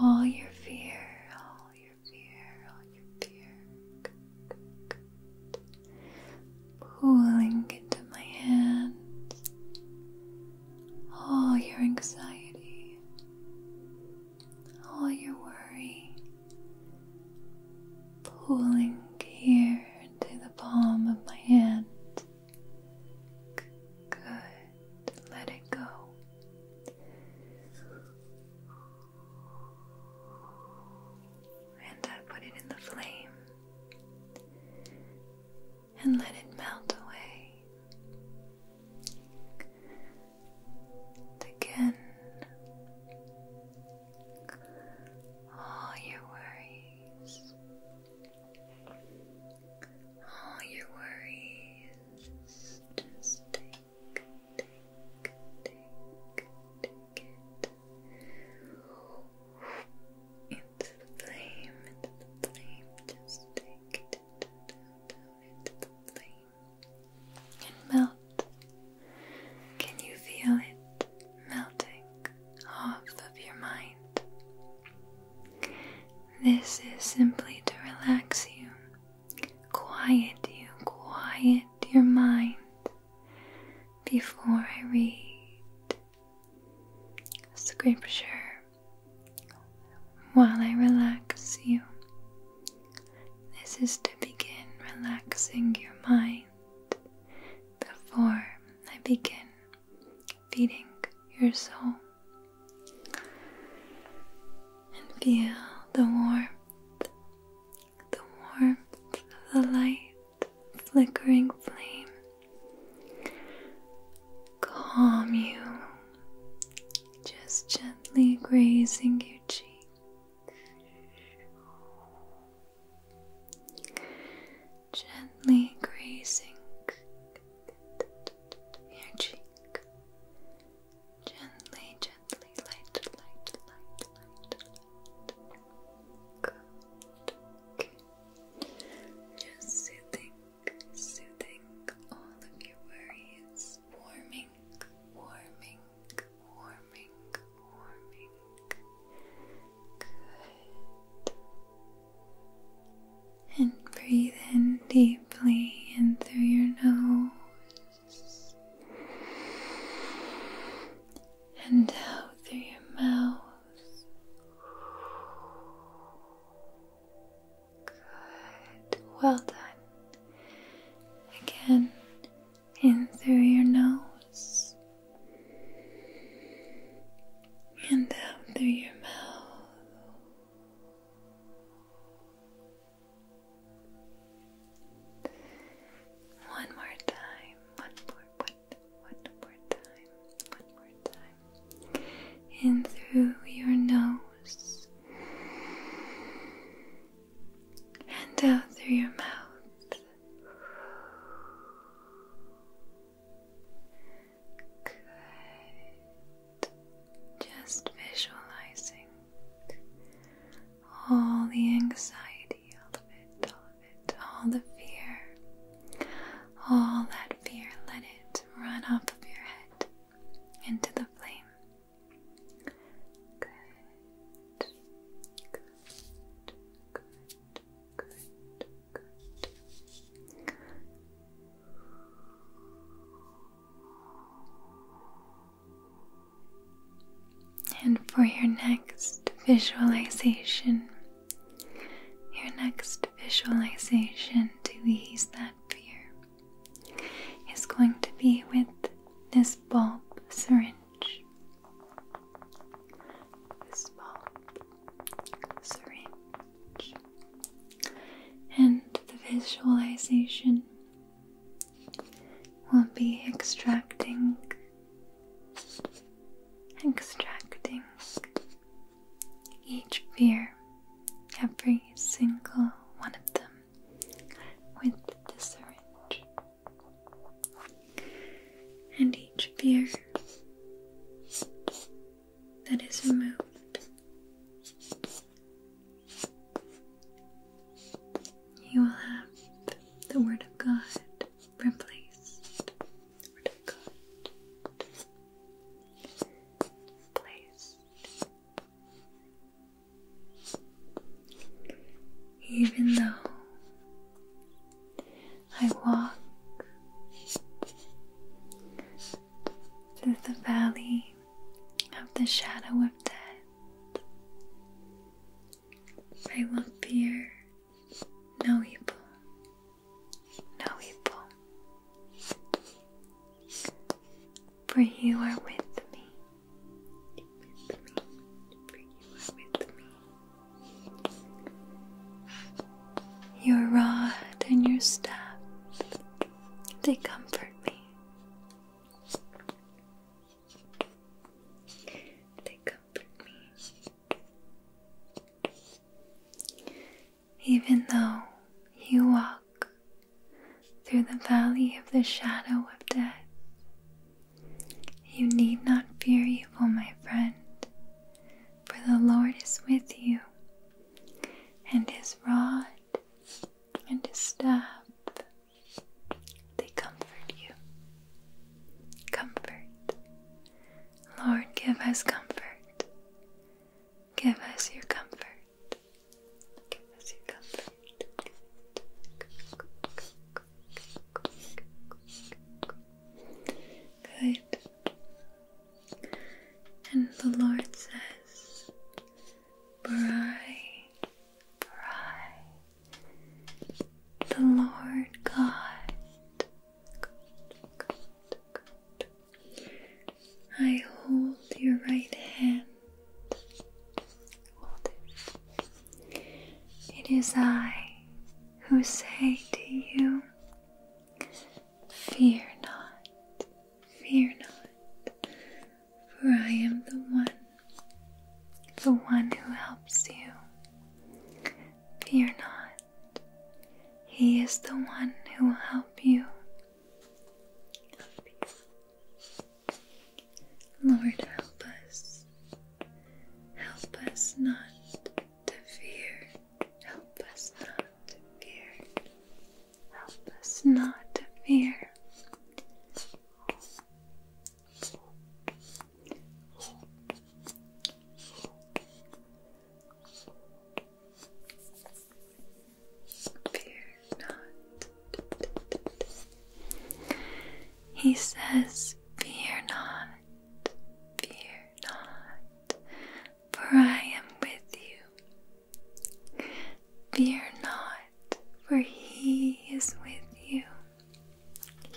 all your fear, all your fear, all your fear. Good, good, good. Pooling into my hands. All your anxiety, all your worry. Pulling here into the palm of my hand. Good. Let it go. And I put it in the flame and let it melt away. again, all your worries, all your worries just into the flame, into the flame, just take it into the flame and melt. Can you feel it melting off of your mind? This is simply to relax you quiet you, quiet your mind before I read for sure. while I relax you. This is to begin relaxing your mind before I begin feeding your soul. And feel the warmth the warmth of the light flickering flame calm you, just gently grazing your cheek. Gently grazing your cheek. gently, gently, light, light, light, light, light. soothing, soothing all of your worries. Warming, warming, warming, warming. Good. And breathe in deeply and through your nose and out through your mouth. Good, well done. Again, in through your nose and out through your mouth. One more time. One more, one, one more time. One more time. In through your nose. And out through your mouth. Good. Just visualizing all the anxiety, all of it, all of it, all the fear, all that fear, let it run off of your head into the flame. Good, good, good, good, good. And for your next visualization, your next visualization to ease that fear is going to be with this bulb syringe. This bulb syringe. And the visualization will be extracting, extracting each beer, every single one of them, with the syringe. And each beer that is removed you will have the Word of God replaced. Even though I walk through the valley of the shadow of death. They will fear no evil, no evil. For you are with me. Your rod and your staff, they comfort me. They comfort me. Even though you walk through the valley of the shadow of death, you need not fear evil, my friend, for the Lord is with you, and his rod and his staff they comfort you. Comfort. Lord, give us comfort. Give us your comfort. Give us your comfort. Good. And the Lord says, bright, bright. The Lord God. I hold your right hand. It is I who say to you, Fear not, fear not for I am the one, the one who helps you. Fear not, He is the one who will help you. Lord, help us. Help us not to fear. Help us not to fear. Help us not to fear. He says, Fear not, fear not, for I am with you. Fear not for He is with you.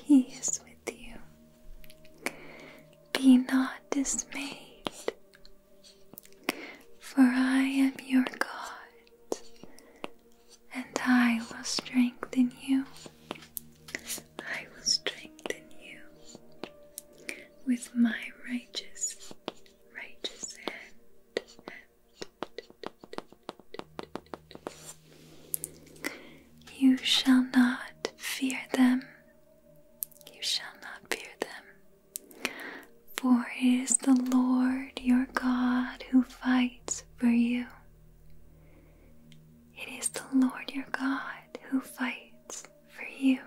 He is with you. Be not dismayed, for I am your God, and I will strengthen you. I will strengthen you with my righteous, righteous hand. You shall not fear them, you shall not fear them, for it is the Lord your God who fights for you. It is the Lord your God who fights for you.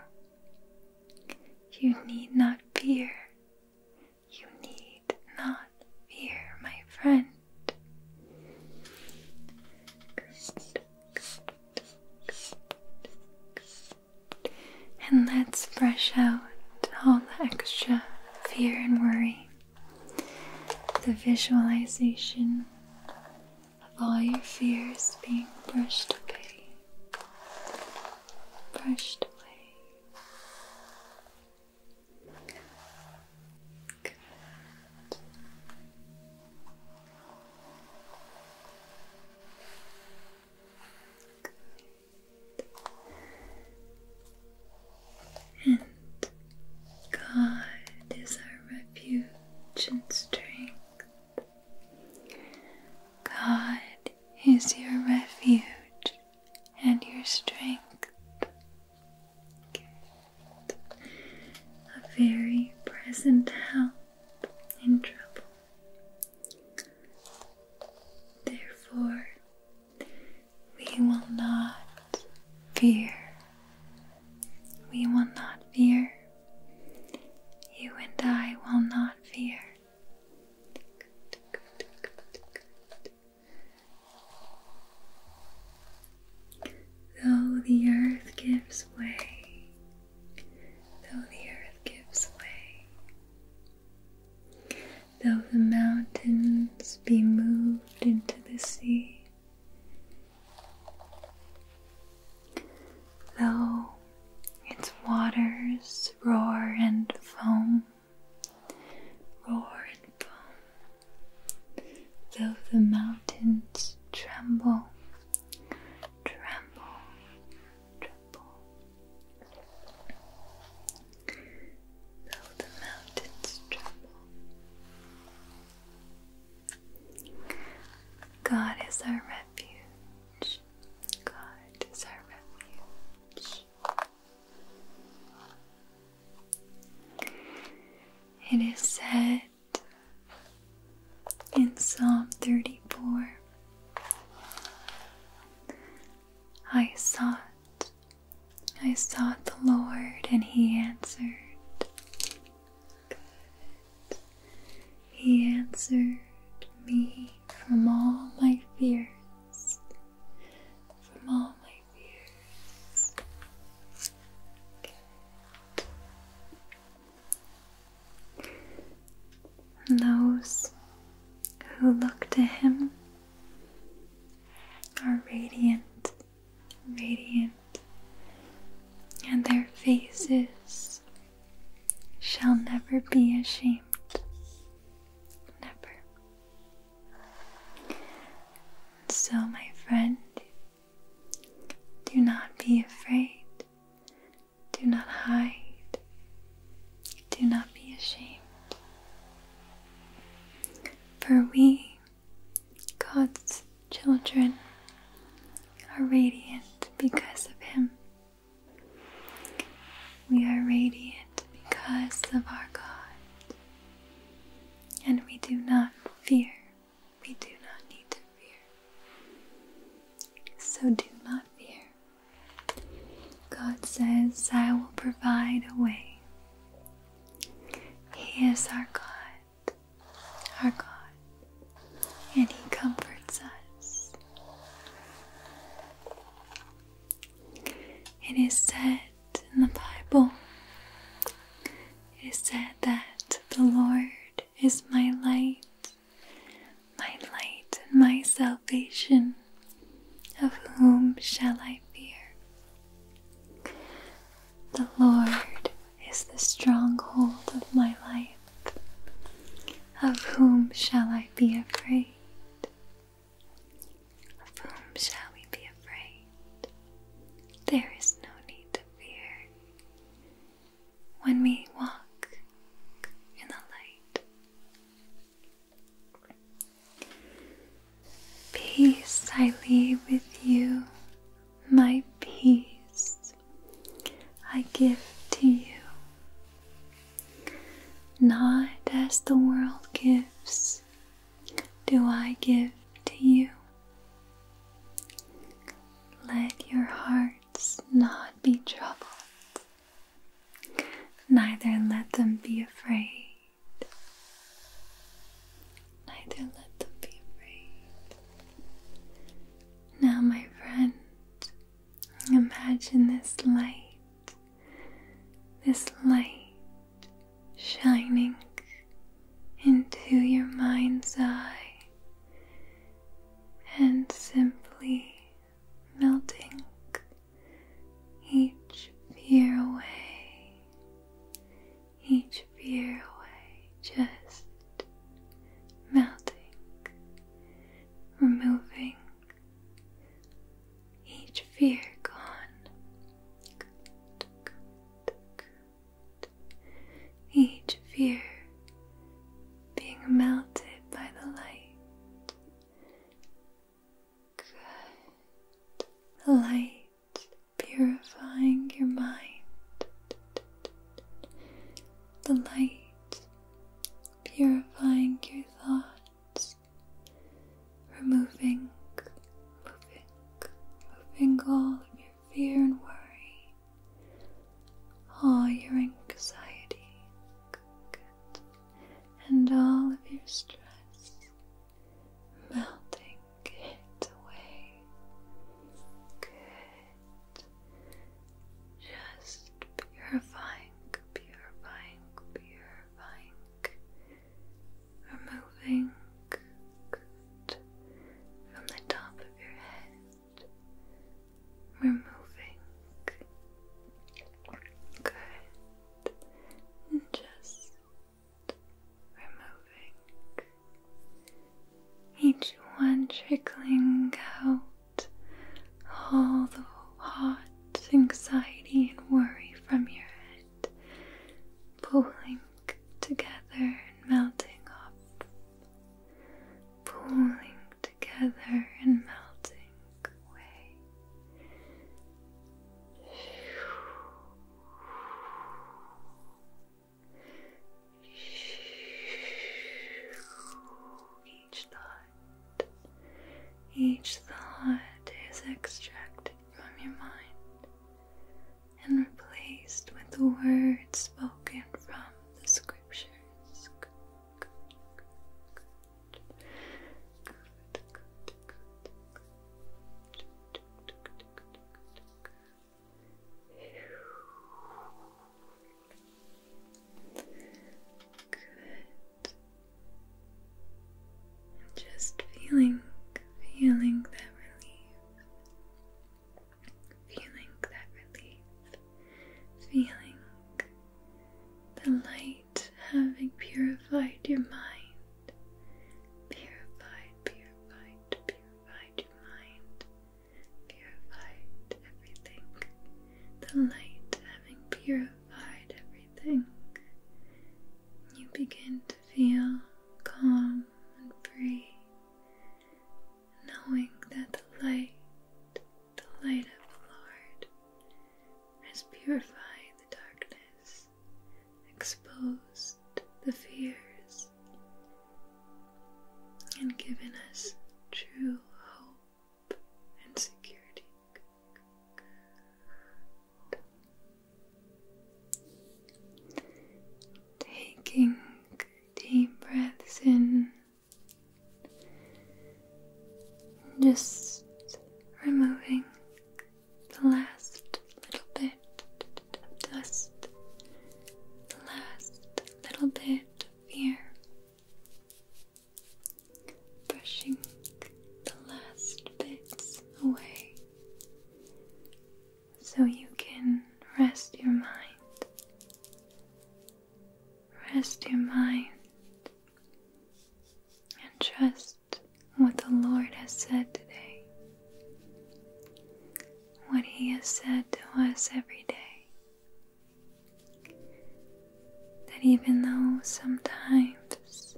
You need not fear, you need not fear, my friend. And let's brush out all the extra fear and worry. The visualization of all your fears being brushed away. Brushed away. And God is our refuge and strength. God is your refuge and your strength. A very present help in trouble. Therefore, we will not fear. We will not fear. You and I will not fear. Though the earth gives way, though the earth gives way, though the mountains be moved into the sea, though its waters roar and foam roar and foam. Though the mountains tremble, tremble, tremble. Though the mountains tremble. God is our refuge. God is our refuge. It is said in Psalm 34 I sought, I sought the Lord, and He answered. He answered me from all my fears from all my fears. And those who look to Him are radiant, radiant, and their faces shall never be ashamed. Never. So, my friend, do not be afraid, do not hide, do not be ashamed. For we, God's children, are radiant because of Him. We are radiant because of our God and we do not fear. We do not need to fear. So do not fear. God says, I will provide a way. He is our God, our God, and He comforts us. It is said in the Bible it is said that the Lord is my light, my light and my salvation. Of whom shall I fear? The Lord is the stronghold of my life. Of whom shall I be afraid? Of whom shall we be afraid? There is no need to fear. When we walk in the light, peace I leave with you, my peace I give to you. Not as the world gives, do I give to you. Let your hearts not be troubled, neither let them be afraid. Neither let them be afraid. Now, my friend, imagine this light, this light shining into your mind's eye and simply melting each fear away, each fear away, just melting, removing each fear gone. Each fear being melted by the light. Good. The light purifying your mind. The light purifying your thoughts removing, moving, moving all of your fear and worry, all your anxiety, and all of your stress, melting it away, good. Just purifying, purifying, purifying removing good, from the top of your head, removing good, just removing each one trickling out all the hot anxiety and worry from your head pulling together and melting off, pulling together and melting away. Each thought, each thought is extracted from your mind, and replaced with the words spoken from the scriptures. Just feeling, feeling that relief. Feeling that relief, feeling the light having purified your mind, purified, purified, purified your mind, purified everything, the light having purified everything. You begin to feel calm and free, knowing that the light, the light of the Lord, has purified the darkness, exposed the fears, and given us true hope and security. Taking deep breaths in, just removing the last little bit of dust, the last little bit of fear, brushing the last bits away so you can rest your mind. Rest your mind and trust what the Lord has said today, what He has said to us every day. That even though sometimes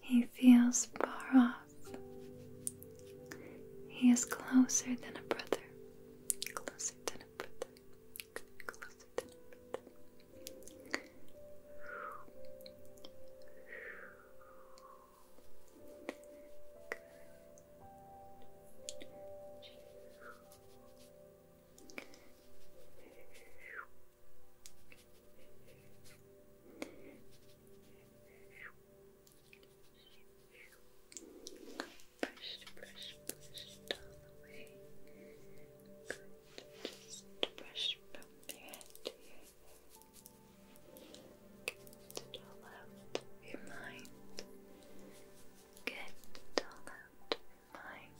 he feels far off. He is closer than a brother. Closer than a brother. Closer than a brother. Brush, brush, brush it all away. Just brush from your head Get it all out of your mind. Get it all out of your mind.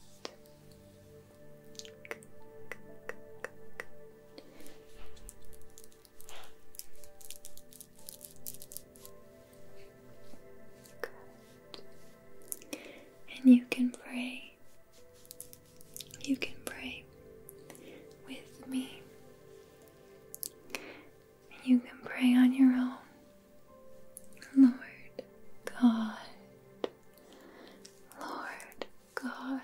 And you can pray. You can pray with me. And you can pray on your own. Lord God, Lord God,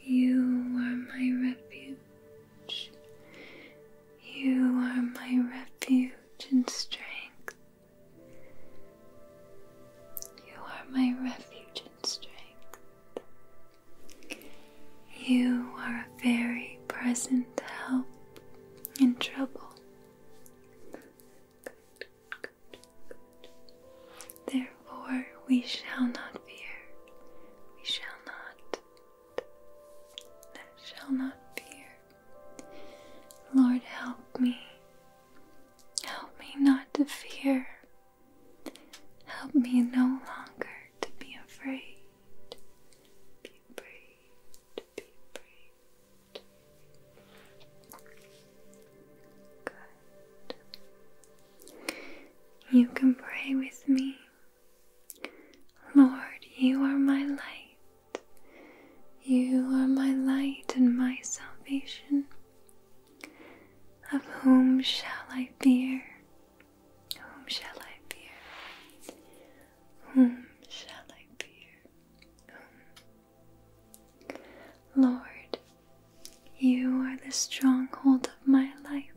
you are my refuge. You are my refuge and strength. You are my refuge and strength. You are a very present help in trouble. Therefore, we shall not fear. We shall not. That shall not fear. Lord, help me. Help me not to fear. Help me no longer to be afraid. You can pray with me. Lord, you are my light. You are my light and my salvation. Of whom shall I fear? Whom shall I fear? Whom shall I fear? Lord, you are the stronghold of my life.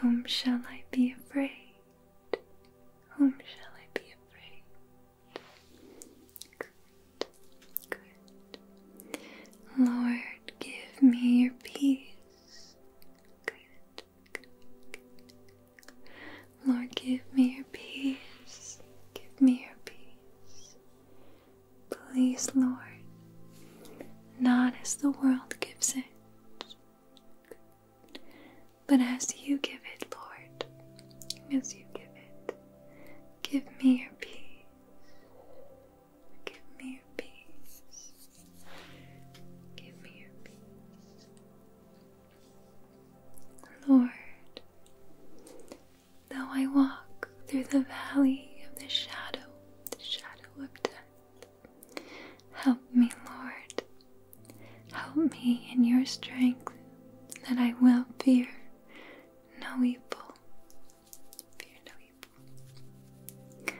Whom shall I be afraid? Whom shall I be afraid? Good, good. Lord, give me your peace. Good, good, Lord, give me your peace. Give me your peace. Please, Lord, not as the world gives it, but as you give it, Lord, as you give it. Give me your peace. Give me your peace. Give me your peace. Lord, though I walk through the valley of the shadow the shadow of death. Help me, Lord. Help me in your strength that I will fear no evil. Fear no evil.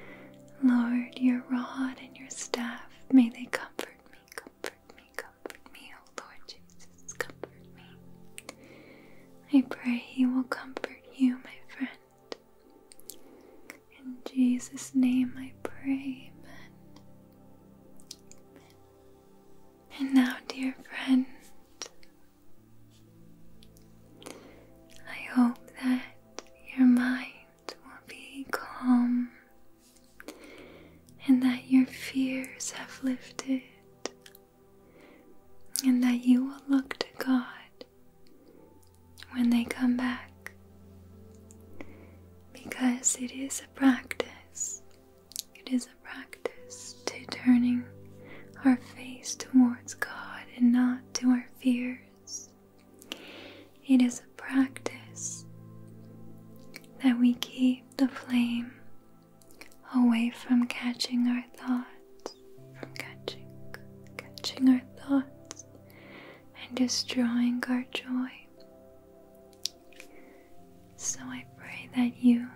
Lord, your rod and your staff, may they comfort me, comfort me, comfort me, O Lord Jesus, comfort me. I pray He will comfort you, my friend. In Jesus' name I pray, And now, dear friend, I hope that your mind will be calm and that your fears have lifted and that you will look to God when they come back because it is a practice. It is a practice to turning our face towards God and not to our fears. It is a practice that we keep the flame away from catching our thoughts from catching, catching our thoughts and destroying our joy. So I pray that you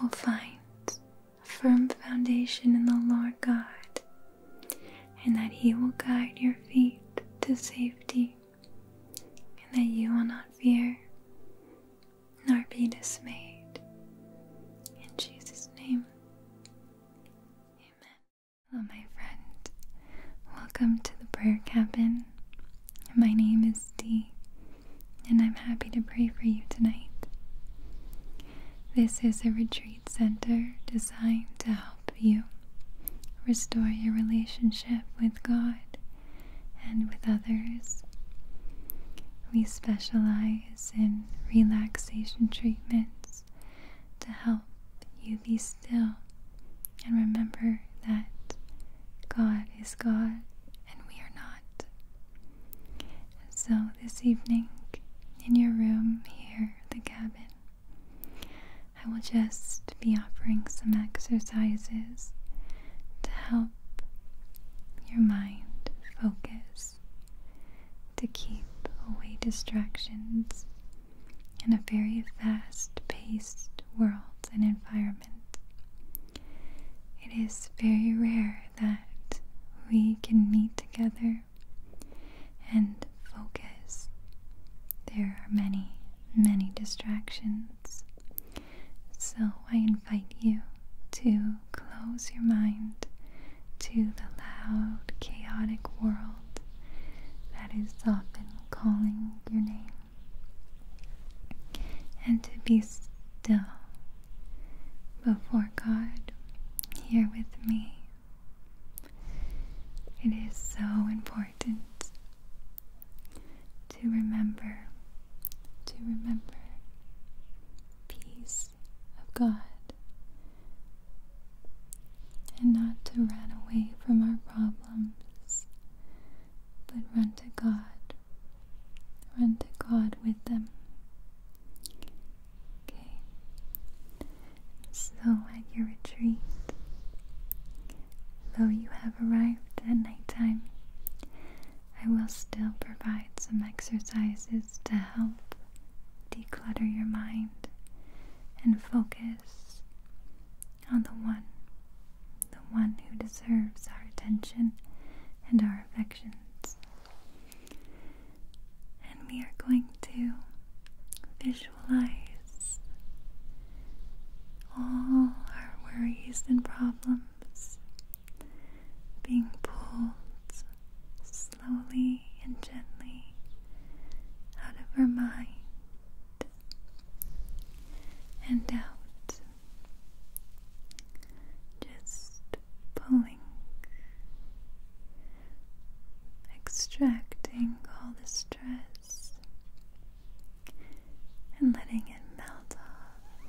will find a firm foundation in the Lord God and that He will guide your feet to safety and that you will not fear nor be dismayed. In Jesus' name, Amen. Hello, my friend. Welcome to the prayer cabin. My name is Dee, and I'm happy to pray for you tonight. This is a retreat center designed to help you restore your relationship with God and with others. We specialize massages and relaxation treatments to help you be still and remember that God is God and we are not. So, this evening in your room here, the cabin, I will just be offering some exercises to help your mind focus to keep away distractions in a very fast paced world and environment. It is very rare that we can meet together and focus. There are many, many distractions. So I invite you to close your mind to the loud, chaotic world that is often calling your name. And to be still before God here with me. It is so important to remember, to remember peace of God and not to run away from our problems, but run to God. Run to God with them. Okay. So at your retreat, though you have arrived at nighttime, I will still provide some exercises to help declutter your mind and focus on the one, the one who deserves our attention and our affections. And we are going to visualize all our worries and problems being pulled slowly and gently out of her mind and out, just pulling, extracting all the stress and letting it melt off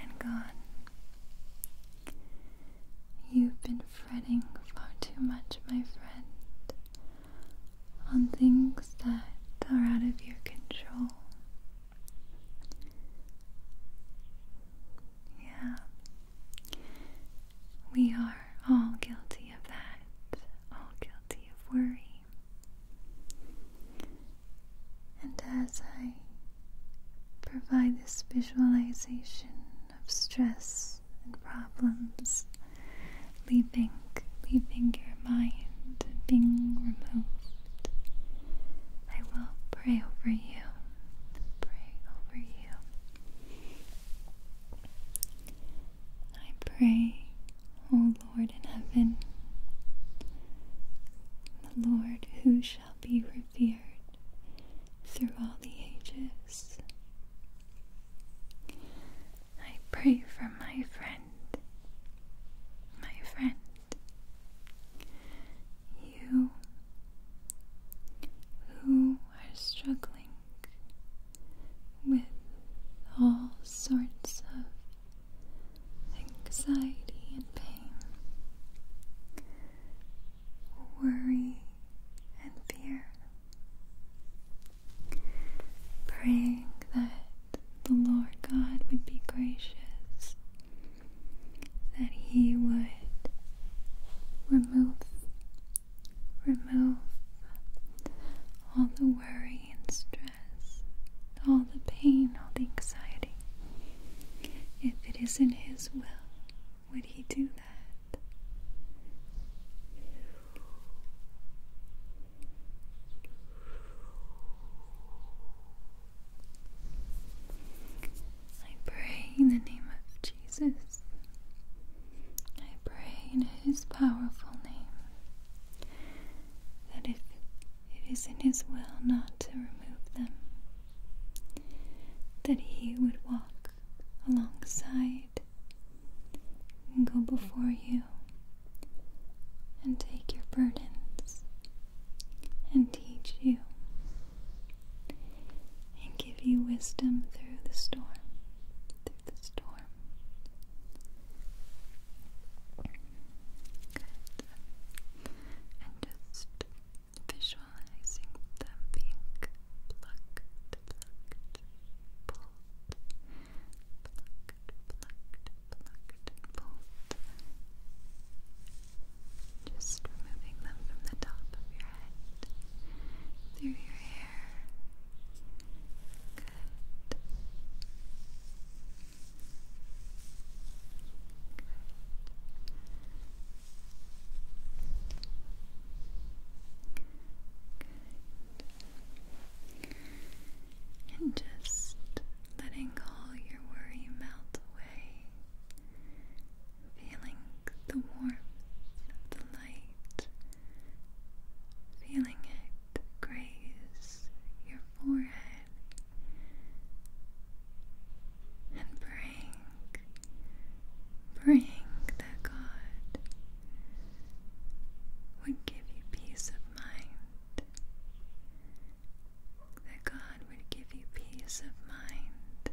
and gone. You've been fretting far too much, my friend, on things that are out of your control. Yeah, we are all guilty of that, all guilty of worry. And as I provide this visualization of stress and problems leaving leaving your mind being removed. I will pray over you. Pray over you. I pray, O Lord in heaven, the Lord who shall be revealed through all the ages. I pray for my friend, my friend, you who are struggling with all sorts of anxiety and pain worry, and fear. Praying that the Lord God would be gracious, that He would remove, remove all the worry and stress, all the pain, all the anxiety. If it isn't His will, would he do that? I pray in the name of Jesus. I pray in his powerful name that if it is in his will not to remove them, that he would walk alongside and go before you and take your burdens and teach you and give you wisdom through the storm through the storm and just visualizing them being plucked, plucked, pulled, plucked, plucked, pulled. Just removing them from the top of your head, through your hair. Good. Good. And just letting all your worry melt away, feeling the warmth of the light, feeling it graze your forehead and bring, bring that God would give you peace of mind. That God would give you peace of mind.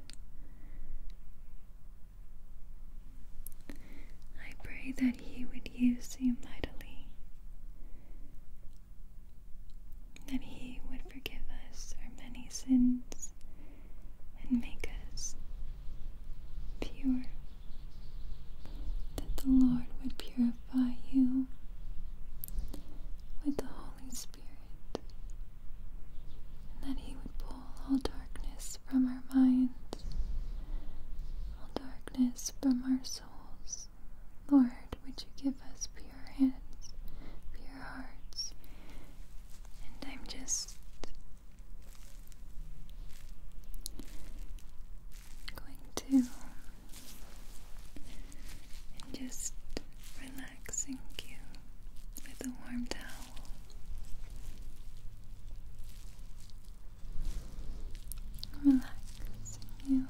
I pray that He would use you mightily, that He would forgive us our many sins and make us pure. That the Lord would purify you with the Holy Spirit, and that He would pull all darkness from our minds, all darkness from our souls. Lord, would you give us pure hands, pure hearts. And I'm just going to just relaxing you with a warm towel. Relaxing you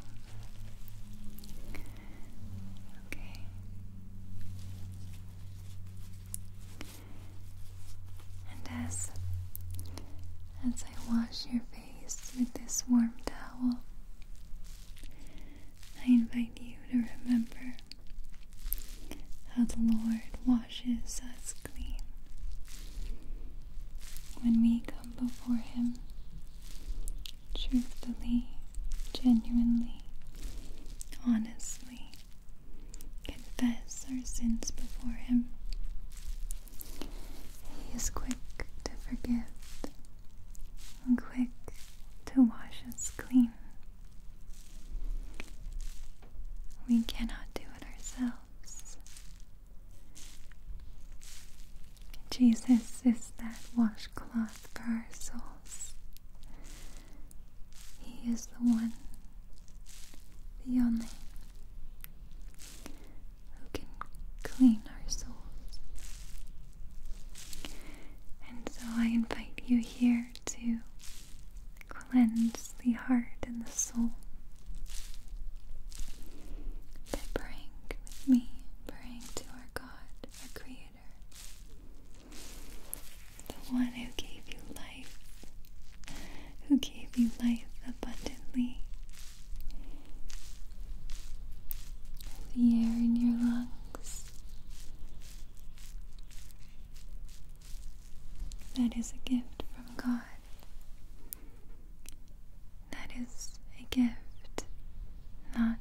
Okay. And as as I wash your face with this warm towel, I invite you to remember how the Lord washes us clean. When we come before Him, truthfully, genuinely, honestly honestly confess our sins before Him. He is quick to forgive and quick to wash us clean. We cannot do it ourselves. Jesus is that washcloth for our souls. He is the one, the only, who can clean our souls. And so I invite you here to cleanse the heart and the soul by praying with me, praying to our God, our Creator the one who gave you life, who gave you life abundantly. The air in your lungs. That is a gift from God. That is a gift not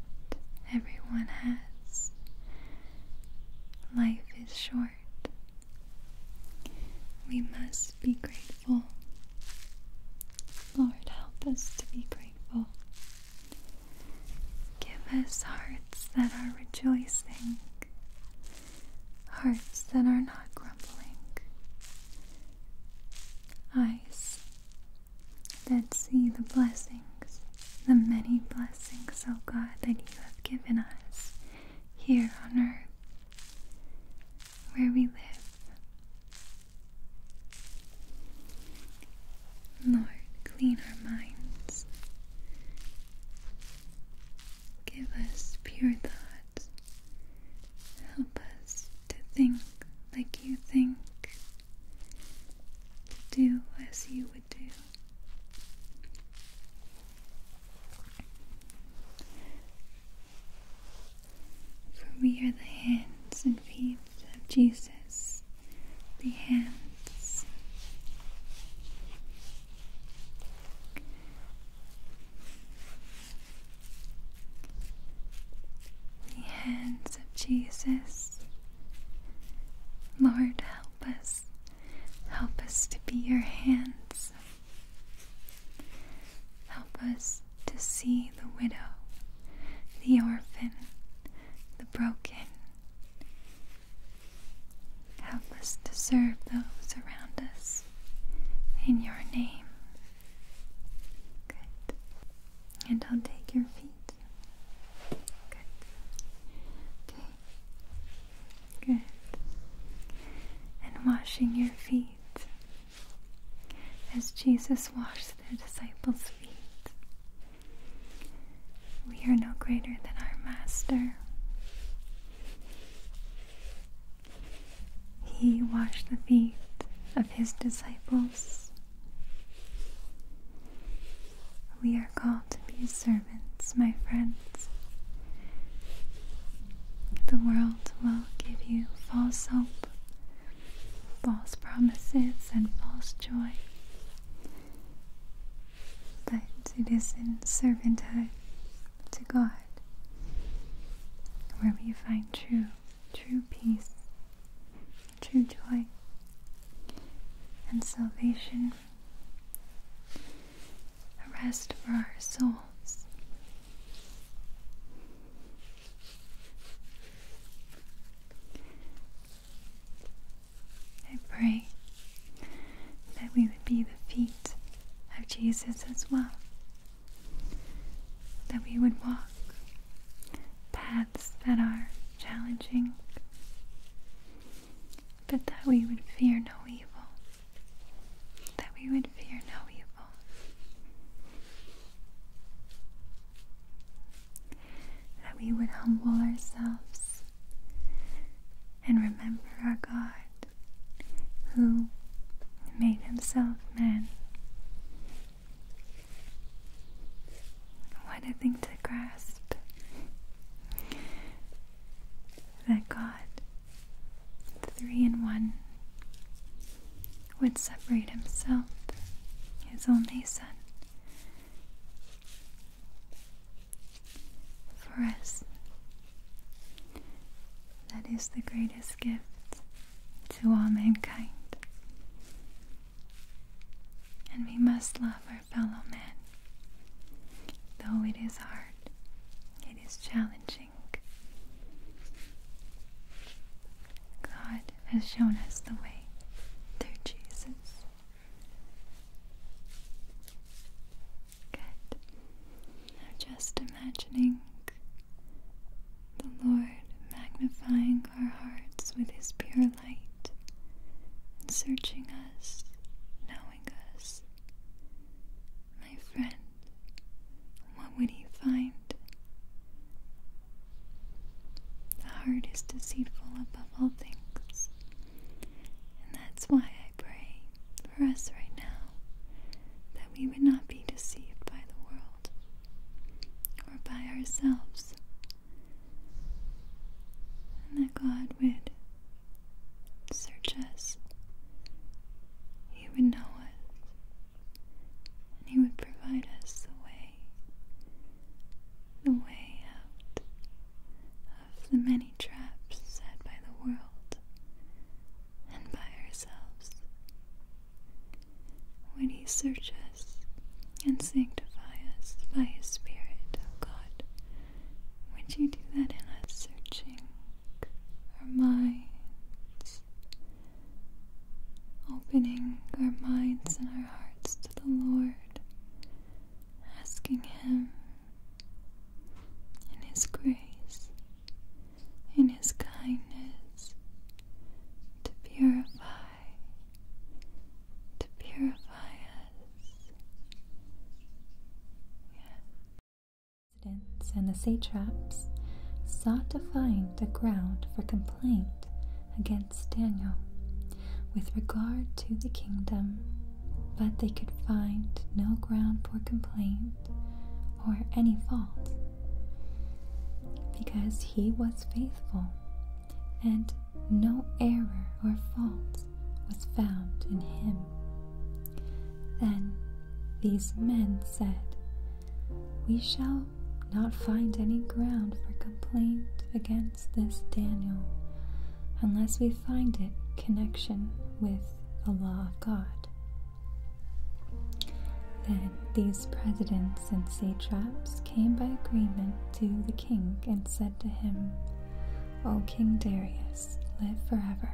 everyone has. Life is short. We must be grateful. Lord, help us to be grateful. Give us hearts that are rejoicing, hearts that are not grumbling, eyes that see the blessing the many blessings, O God, that you have given us here on earth, where we live. Lord, clean our minds. Give us pure thoughts. Help us to think like you think, do as you for we are the hands and feet of Jesus, the hands. The hands of Jesus. Lord, help us Help us to be your hands. Help us to see the widow, the orphan, the broken. Help us to serve those around us in your name. Good. And I'll take your feet Good. Okay. Good. And washing your feet as Jesus washed the disciples' feet. We are no greater than our Master. He washed the feet of his disciples. We are called to be servants, my friends. The world will give you false hope, false promises, and false joy. But it is in servanthood to God where we find true, true peace, true joy, and salvation rest for our souls. I pray that we would be the feet of Jesus as well, that we would walk paths that are challenging, but that we would fear no evil. That we would fear no evil. That we would humble ourselves and remember our God who made himself man. What a thing to grasp! that God, three in one, would separate himself, his only Son, for us. That is the greatest gift to all mankind. And we must love our fellow men. Though it is hard, it is challenging. God has shown us the way through Jesus. Good. just imagining the Lord magnifying our hearts with His pure light and searching us knowing. My friend, what would he find? The heart is deceitful above all things, and that's why I pray for us right now that we would not be deceived by the world or by ourselves, and that God would search us, He would know us, and He would provide us the way, the way out of the many traps set by the world and by ourselves. When He search us and sanctify us by His Spirit, O God, would you do that in us searching our minds? Opening our minds and our hearts to the Lord, asking Him in His grace, in His kindness, to purify, to purify us. Yeah. And the satraps sought to find a ground for complaint against Daniel with regard to the kingdom, but they could find no ground for complaint or any fault because he was faithful and no error or fault was found in him. Then these men said, We shall not find any ground for complaint against this Daniel unless we find it connection with the law of God. Then these presidents and satraps came by agreement to the king and said to him, O King Darius, live forever.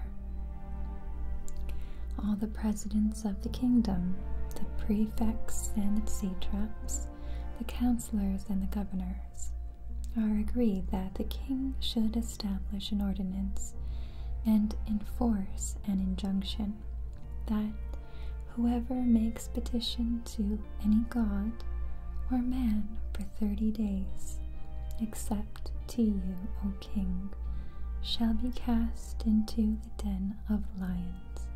All the presidents of the kingdom, the prefects and the satraps, the councillors and the governors, are agreed that the king should establish an ordinance and enforce an injunction that whoever makes petition to any god or man for thirty days except to you, O king, shall be cast into the den of lions.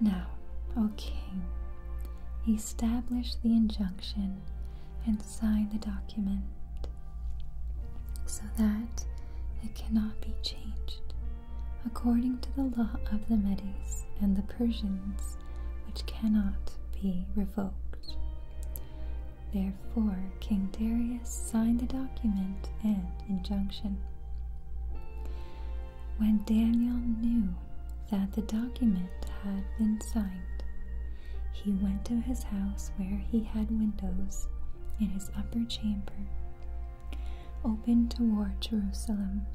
Now, O king, establish the injunction and sign the document so that it cannot be changed according to the law of the Medes and the Persians which cannot be revoked. Therefore, King Darius signed the document and injunction. When Daniel knew that the document had been signed, he went to his house where he had windows in his upper chamber, open toward Jerusalem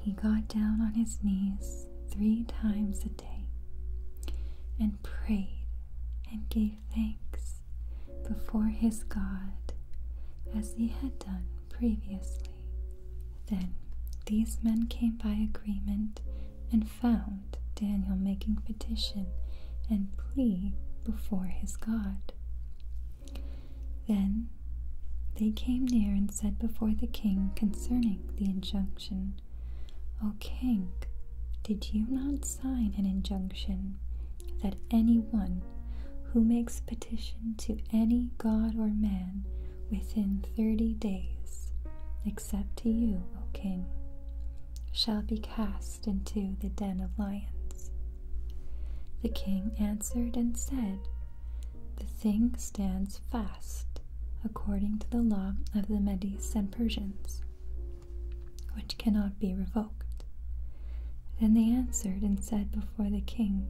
he got down on his knees three times a day and prayed and gave thanks before his God as he had done previously. Then these men came by agreement and found Daniel making petition and plea before his God. Then they came near and said before the king concerning the injunction O oh, king, did you not sign an injunction that anyone who makes petition to any god or man within thirty days, except to you, O king, shall be cast into the den of lions? The king answered and said, the thing stands fast, according to the law of the Medes and Persians, which cannot be revoked. Then they answered and said before the king,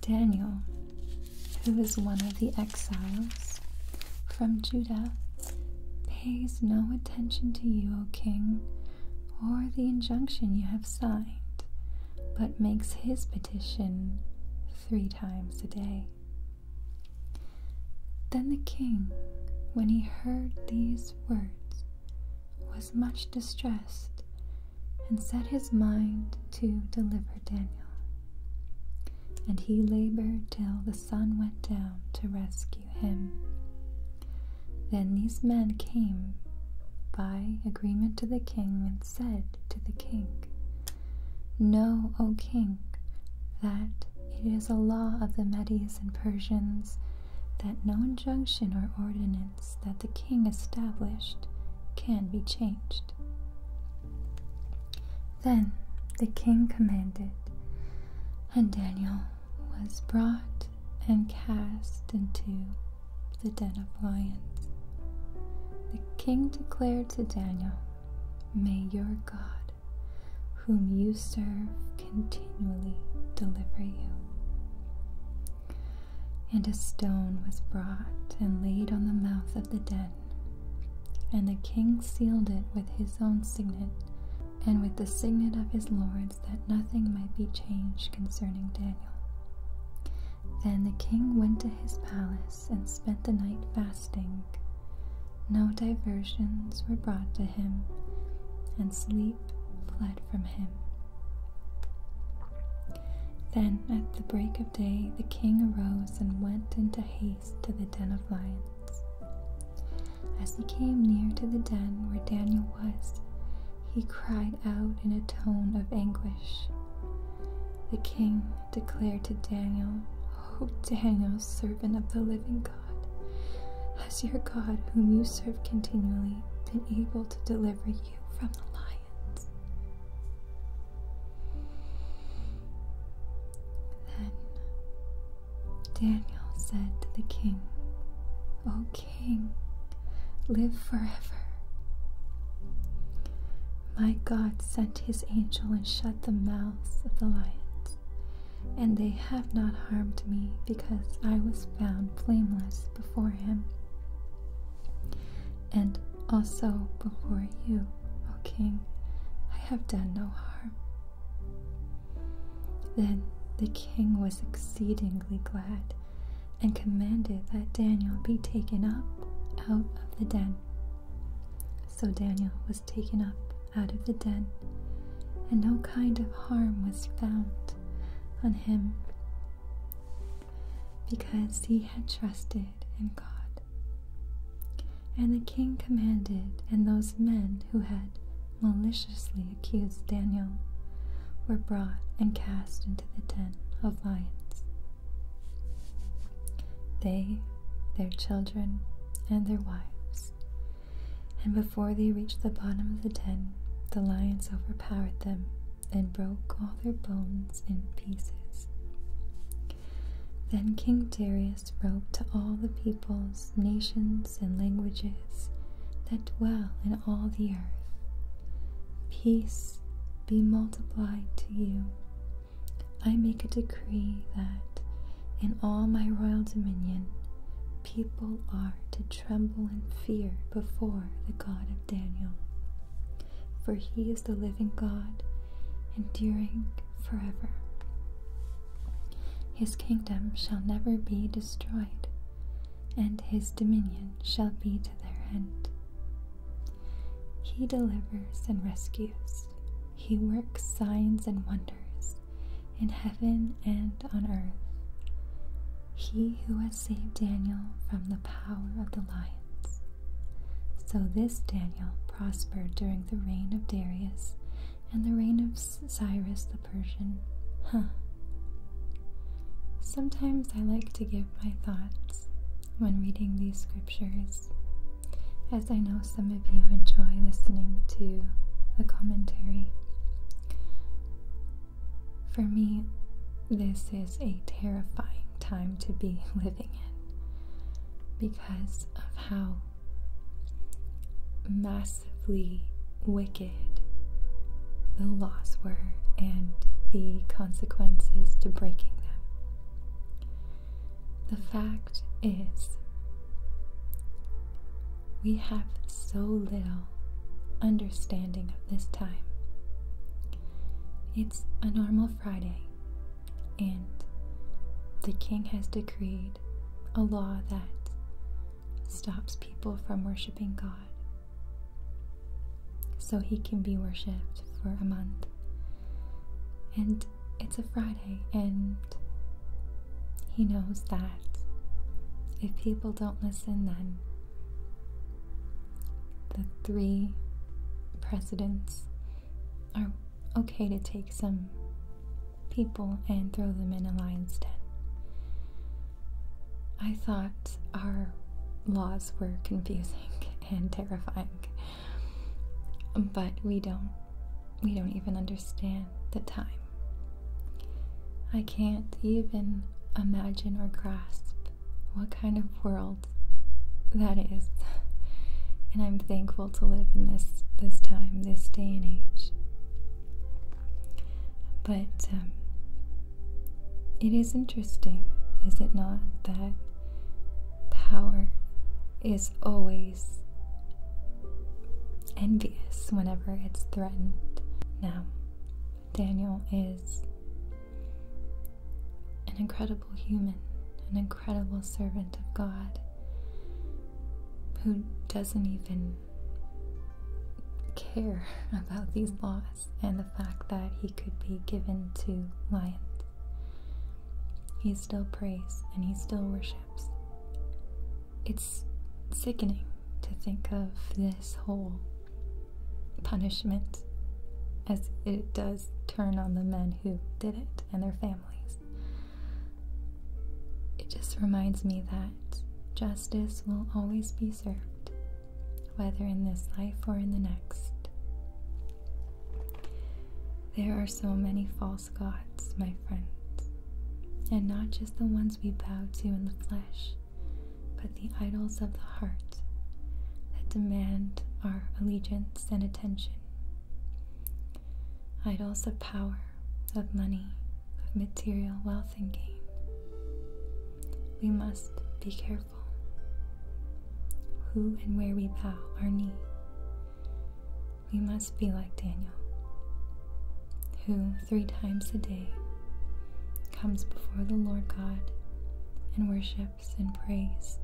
Daniel, who is one of the exiles from Judah, pays no attention to you, O king, or the injunction you have signed, but makes his petition three times a day. Then the king, when he heard these words, was much distressed and set his mind to deliver Daniel. And he labored till the sun went down to rescue him. Then these men came by agreement to the king said to the king, Know, O king, that it is a law of the Medes and Persians that no injunction or ordinance that the king established can be changed. Then the king commanded, and Daniel was brought and cast into the den of lions. The king declared to Daniel, May your God, whom you serve, continually deliver you. And a stone was brought and laid on the mouth of the den, and the king sealed it with his own signet and with the signet of his lords, that nothing might be changed concerning Daniel. Then the king went to his palace and spent the night fasting. No diversions were brought to him, and sleep fled from him. Then at the break of day the king arose and went in haste to the den of lions. As he came near to the den where Daniel was, he cried out in a tone of anguish. The king Declare to Daniel, O Daniel, servant of the living God, has your God, whom you serve continually, been able to deliver you from the lions? Then Daniel said to the king, O king, live forever. My God sent his angel and shut the mouths of the lions, and they have not harmed me because I was found blameless before him and also before you, O king. I have done no harm. Then the king was exceedingly glad and commanded that Daniel be taken up out of the den. So Daniel was taken up out of the den, and no kind of harm was found on him, because he had trusted in God. And the king commanded, and those men who had maliciously accused Daniel were brought and cast into the den of lions. They, their children, and their wives. And before they reached the bottom of the den, the lions overpowered them and broke all their bones in pieces. Then King Darius wrote to all the peoples, nations, and languages that dwell in all the earth Peace be multiplied to you I make a decree that in all my royal dominion people are to tremble and fear before the God of Daniel. For he is the living God, enduring forever. His kingdom shall never be destroyed, and his dominion shall be to their end. He delivers and rescues, he works signs and wonders in heaven and on earth. He who has saved Daniel from the power of the lions. So this Daniel prospered during the reign of Darius and the reign of Cyrus the Persian. Sometimes I like to give my thoughts when reading these scriptures. As I know some of you enjoy listening to the commentary. For me, this is a terrifying time to be living in because of how massively wicked the laws were and the consequences to breaking them. The fact is, we have so little understanding of this time. It's a normal Friday, and the king has decreed a law that stops people from worshiping God. So he can be worshipped for a month. And it's a Friday, and he knows that if people don't listen, then the three presidents are okay to take some people and throw them in a lion's den. I thought our laws were confusing and terrifying. But we don't we don't even understand the time. I can't even imagine or grasp what kind of world that is. And I'm thankful to live in this this time, this day and age. But um, it is interesting, is it not, that power is always envious whenever it's threatened. Now, Daniel is an incredible human, an incredible servant of God who doesn't even care about these laws and the fact that he could be given to lions. He still prays and he still worships. It's sickening to think of this whole punishment as it does turn on the men who did it and their families. It just reminds me that justice will always be served, whether in this life or in the next. There are so many false gods, my friends, and not just the ones we bow to in the flesh, but the idols of the heart that demand our allegiance and attention. Idols of power, of money, of material wealth and gain. We must be careful who and where we bow our knee we must be like Daniel, who three times a day comes before the Lord God and worships and prays.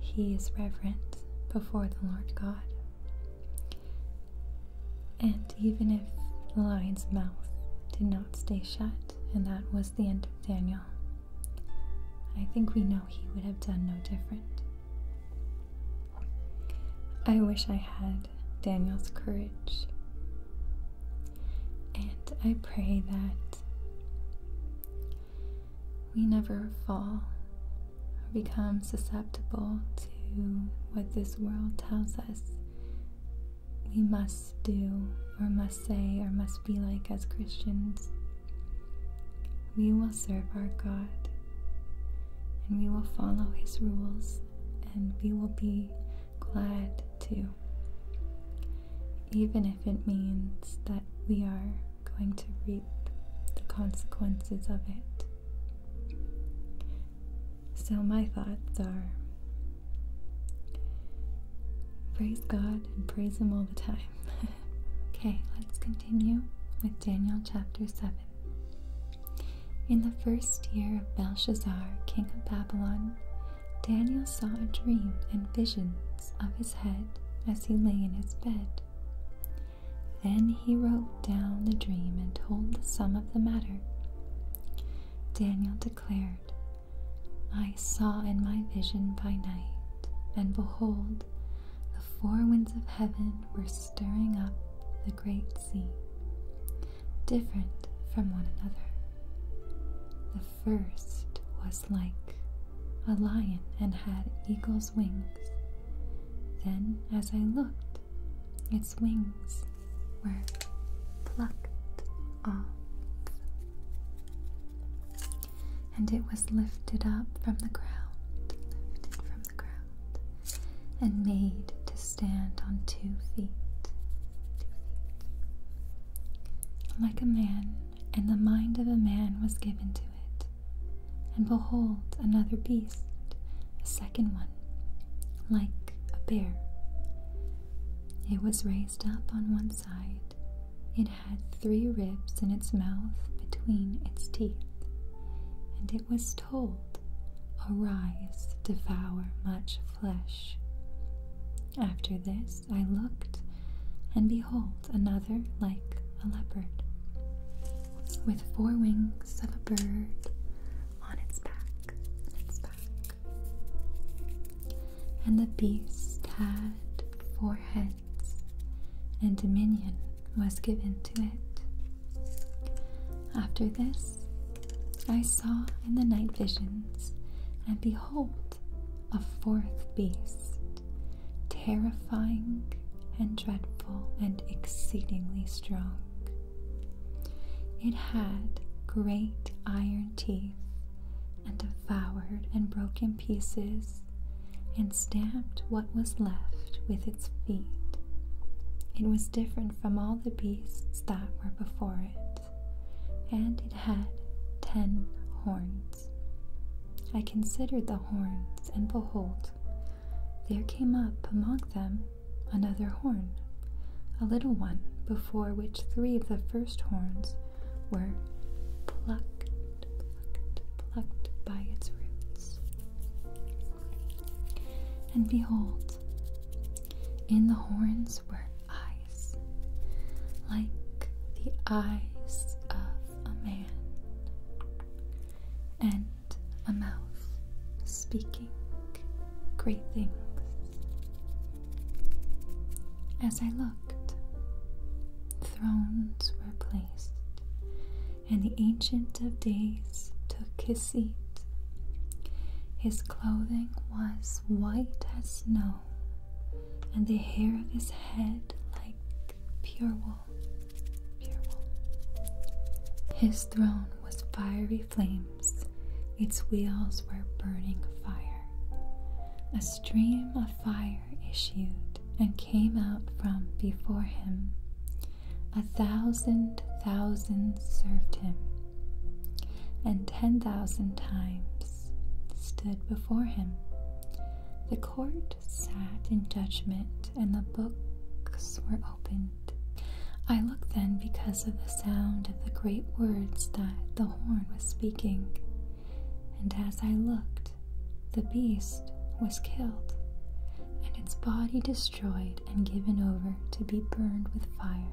He is reverent before the Lord God. And even if the lion's mouth did not stay shut, and that was the end of Daniel, I think we know he would have done no different. I wish I had Daniel's courage. And I pray that we never fall or become susceptible to what this world tells us we must do or must say or must be like as Christians. We will serve our God and we will follow His rules and we will be glad too. Even if it means that we are going to reap the consequences of it. So, my thoughts are praise God and praise Him all the time. okay, let's continue with Daniel chapter 7. In the first year of Belshazzar, king of Babylon, Daniel saw a dream and visions of his head as he lay in his bed. Then he wrote down the dream and told the sum of the matter. Daniel declared, I saw in my vision by night, and behold, the four winds of heaven were stirring up the great sea, different from one another. The first was like a lion and had eagle's wings. Then, as I looked, its wings were plucked off and it was lifted up from the ground, lifted from the ground, and made to stand on two feet, two feet. Like a man, and the mind of a man was given to it. And behold, another beast, a second one, like a bear. It was raised up on one side. It had three ribs in its mouth between its teeth, and it was told, Arise, devour much flesh. After this I looked, and behold, another like a leopard, with four wings of a bird on its back, And the beast had four heads and dominion was given to it. After this, I saw in the night visions, and behold, a fourth beast, terrifying and dreadful and exceedingly strong. It had great iron teeth and devoured and broke in pieces and stamped what was left with its feet. It was different from all the beasts that were before it, and it had ten horns. I considered the horns, and behold, there came up among them another horn, a little one, before which three of the first horns were plucked, plucked, plucked by its roots. And behold, in the horns were eyes, like the eyes of a man, and a mouth speaking great things. As I looked, thrones were placed and the Ancient of Days took his seat. His clothing was white as snow, and the hair of his head like pure wool. His throne was fiery flames, its wheels were burning fire. A stream of fire issued and came out from before him. A thousand thousands served him, and ten thousand times stood before him. The court sat in judgment, and the books were opened. I looked then because of the sound of the great words that the horn was speaking. And as I looked, the beast was killed, and its body destroyed and given over to be burned with fire.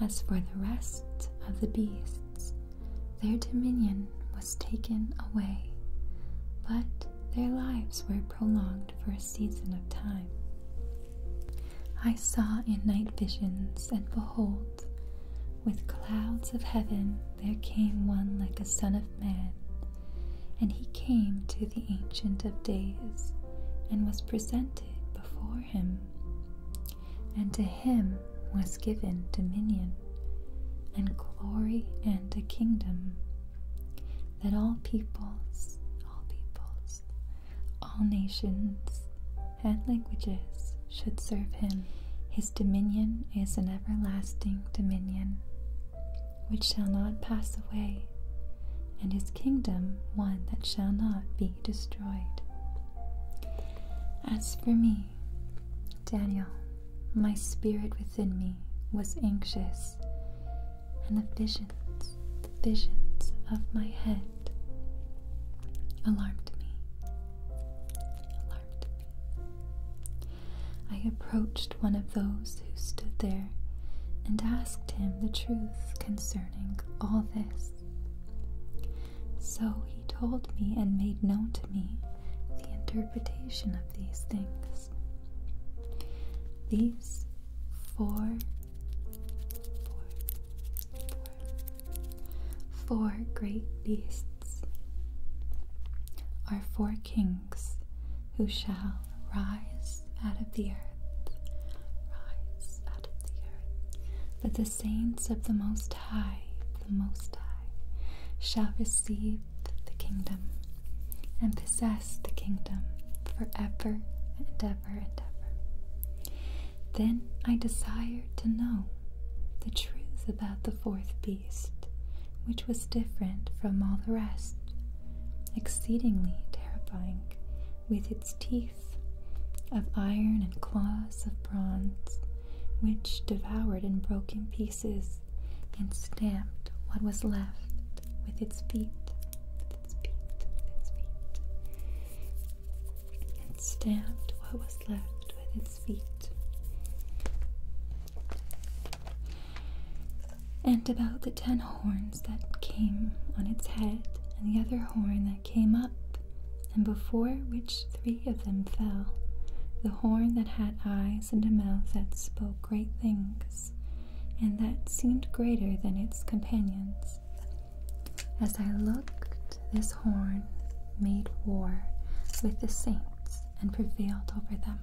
As for the rest of the beasts, their dominion was taken away, but their lives were prolonged for a season of time. I saw in night visions, and behold, with clouds of heaven there came one like a son of man, and he came to the Ancient of Days, and was presented before him. And to him was given dominion, and glory, and a kingdom, that all peoples, all peoples, all nations, and languages should serve him. His dominion is an everlasting dominion, which shall not pass away, and his kingdom one that shall not be destroyed. As for me, Daniel, my spirit within me was anxious, and the visions, the visions of my head alarmed me. Alarmed I approached one of those who stood there and asked him the truth concerning all this. So he told me and made known to me the interpretation of these things. These four, four, four, four great beasts are four kings who shall rise out of the earth, rise out of the earth. But the saints of the Most High, the Most High, shall receive the kingdom and possess the kingdom for ever and ever and ever. Then I desired to know the truth about the fourth beast, which was different from all the rest, exceedingly terrifying, with its teeth of iron and claws of bronze, which devoured and broke in pieces and stamped what was left with its feet and about the ten horns that came on its head, and the other horn that came up, and before which three of them fell. The horn that had eyes and a mouth that spoke great things, and that seemed greater than its companions. As I looked, this horn made war with the saints and prevailed over them.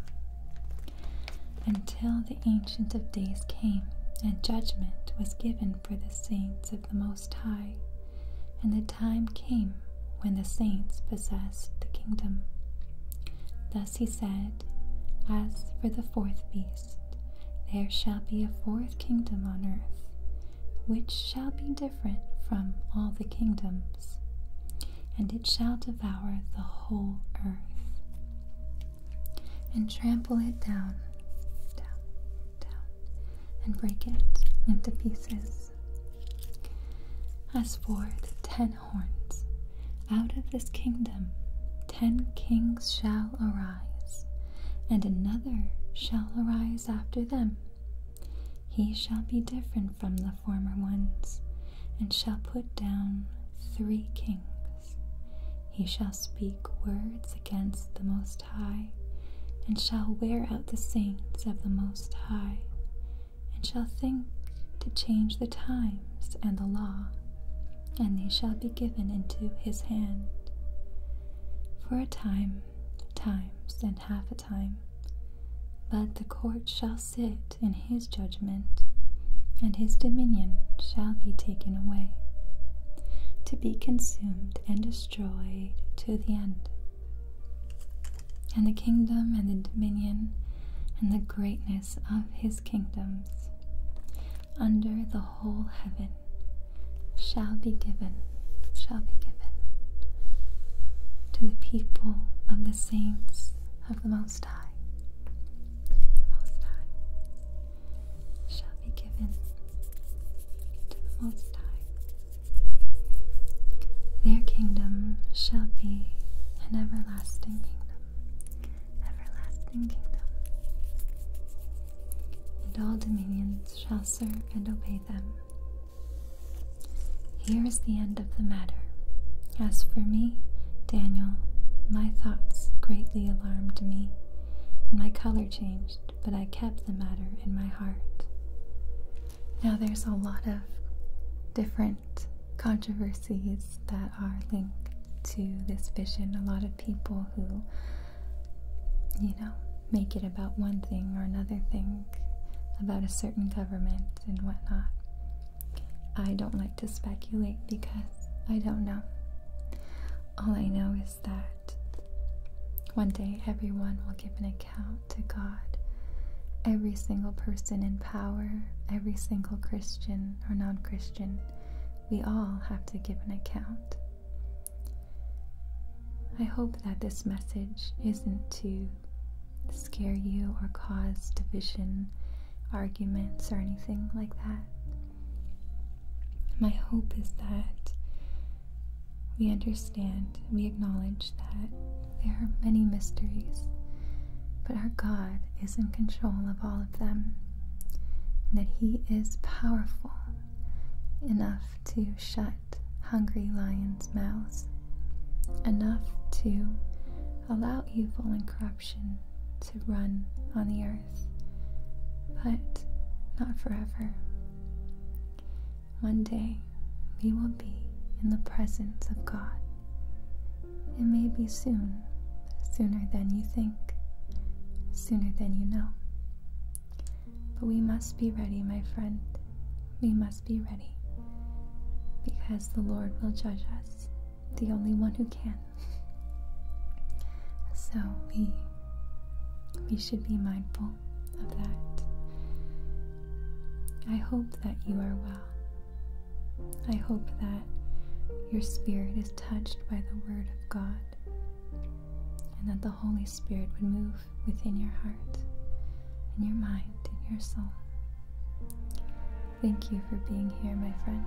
Until the Ancient of Days came, and judgment was given for the saints of the Most High, and the time came when the saints possessed the kingdom. Thus he said, As for the fourth beast, there shall be a fourth kingdom on earth, which shall be different from all the kingdoms, and it shall devour the whole earth and trample it down, down, down, and break it into pieces. As for the ten horns, out of this kingdom ten kings shall arise, and another shall arise after them. He shall be different from the former ones, and shall put down three kings. He shall speak words against the Most High, and shall wear out the saints of the Most High, and shall think to change the times and the law, and they shall be given into his hand. For a time, times, and half a time, but the court shall sit in his judgment, and his dominion shall be taken away, to be consumed and destroyed to the end. And the kingdom and the dominion and the greatness of his kingdoms under the whole heaven shall be given, shall be given to the people of the saints of the Most High the Most High shall be given to the Most High. Their kingdom shall be an everlasting kingdom, everlasting kingdom. And all dominions shall serve and obey them. Here is the end of the matter. As for me, Daniel, my thoughts greatly alarmed me, and my color changed, but I kept the matter in my heart. Now, there's a lot of different controversies that are linked to this vision. A lot of people who, you know, make it about one thing or another thing, about a certain government and whatnot. I don't like to speculate because I don't know. All I know is that one day everyone will give an account to God. Every single person in power, every single Christian or non Christian, we all have to give an account. I hope that this message isn't to scare you or cause division arguments or anything like that. My hope is that we understand, we acknowledge that there are many mysteries, but our God is in control of all of them, and that He is powerful enough to shut hungry lions' mouths, enough to allow evil and corruption to run on the earth, but not forever. One day we will be in the presence of God. It may be soon, sooner than you think, sooner than you know. But we must be ready, my friend. We must be ready because the Lord will judge us the only one who can. So we we should be mindful of that. I hope that you are well. I hope that your spirit is touched by the Word of God and that the Holy Spirit would move within your heart, in your mind, in your soul. Thank you for being here, my friend.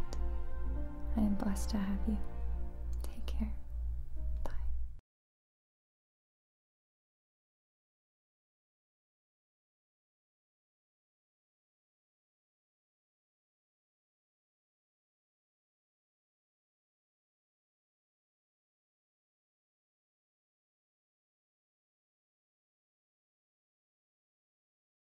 I am blessed to have you. Take care. Bye.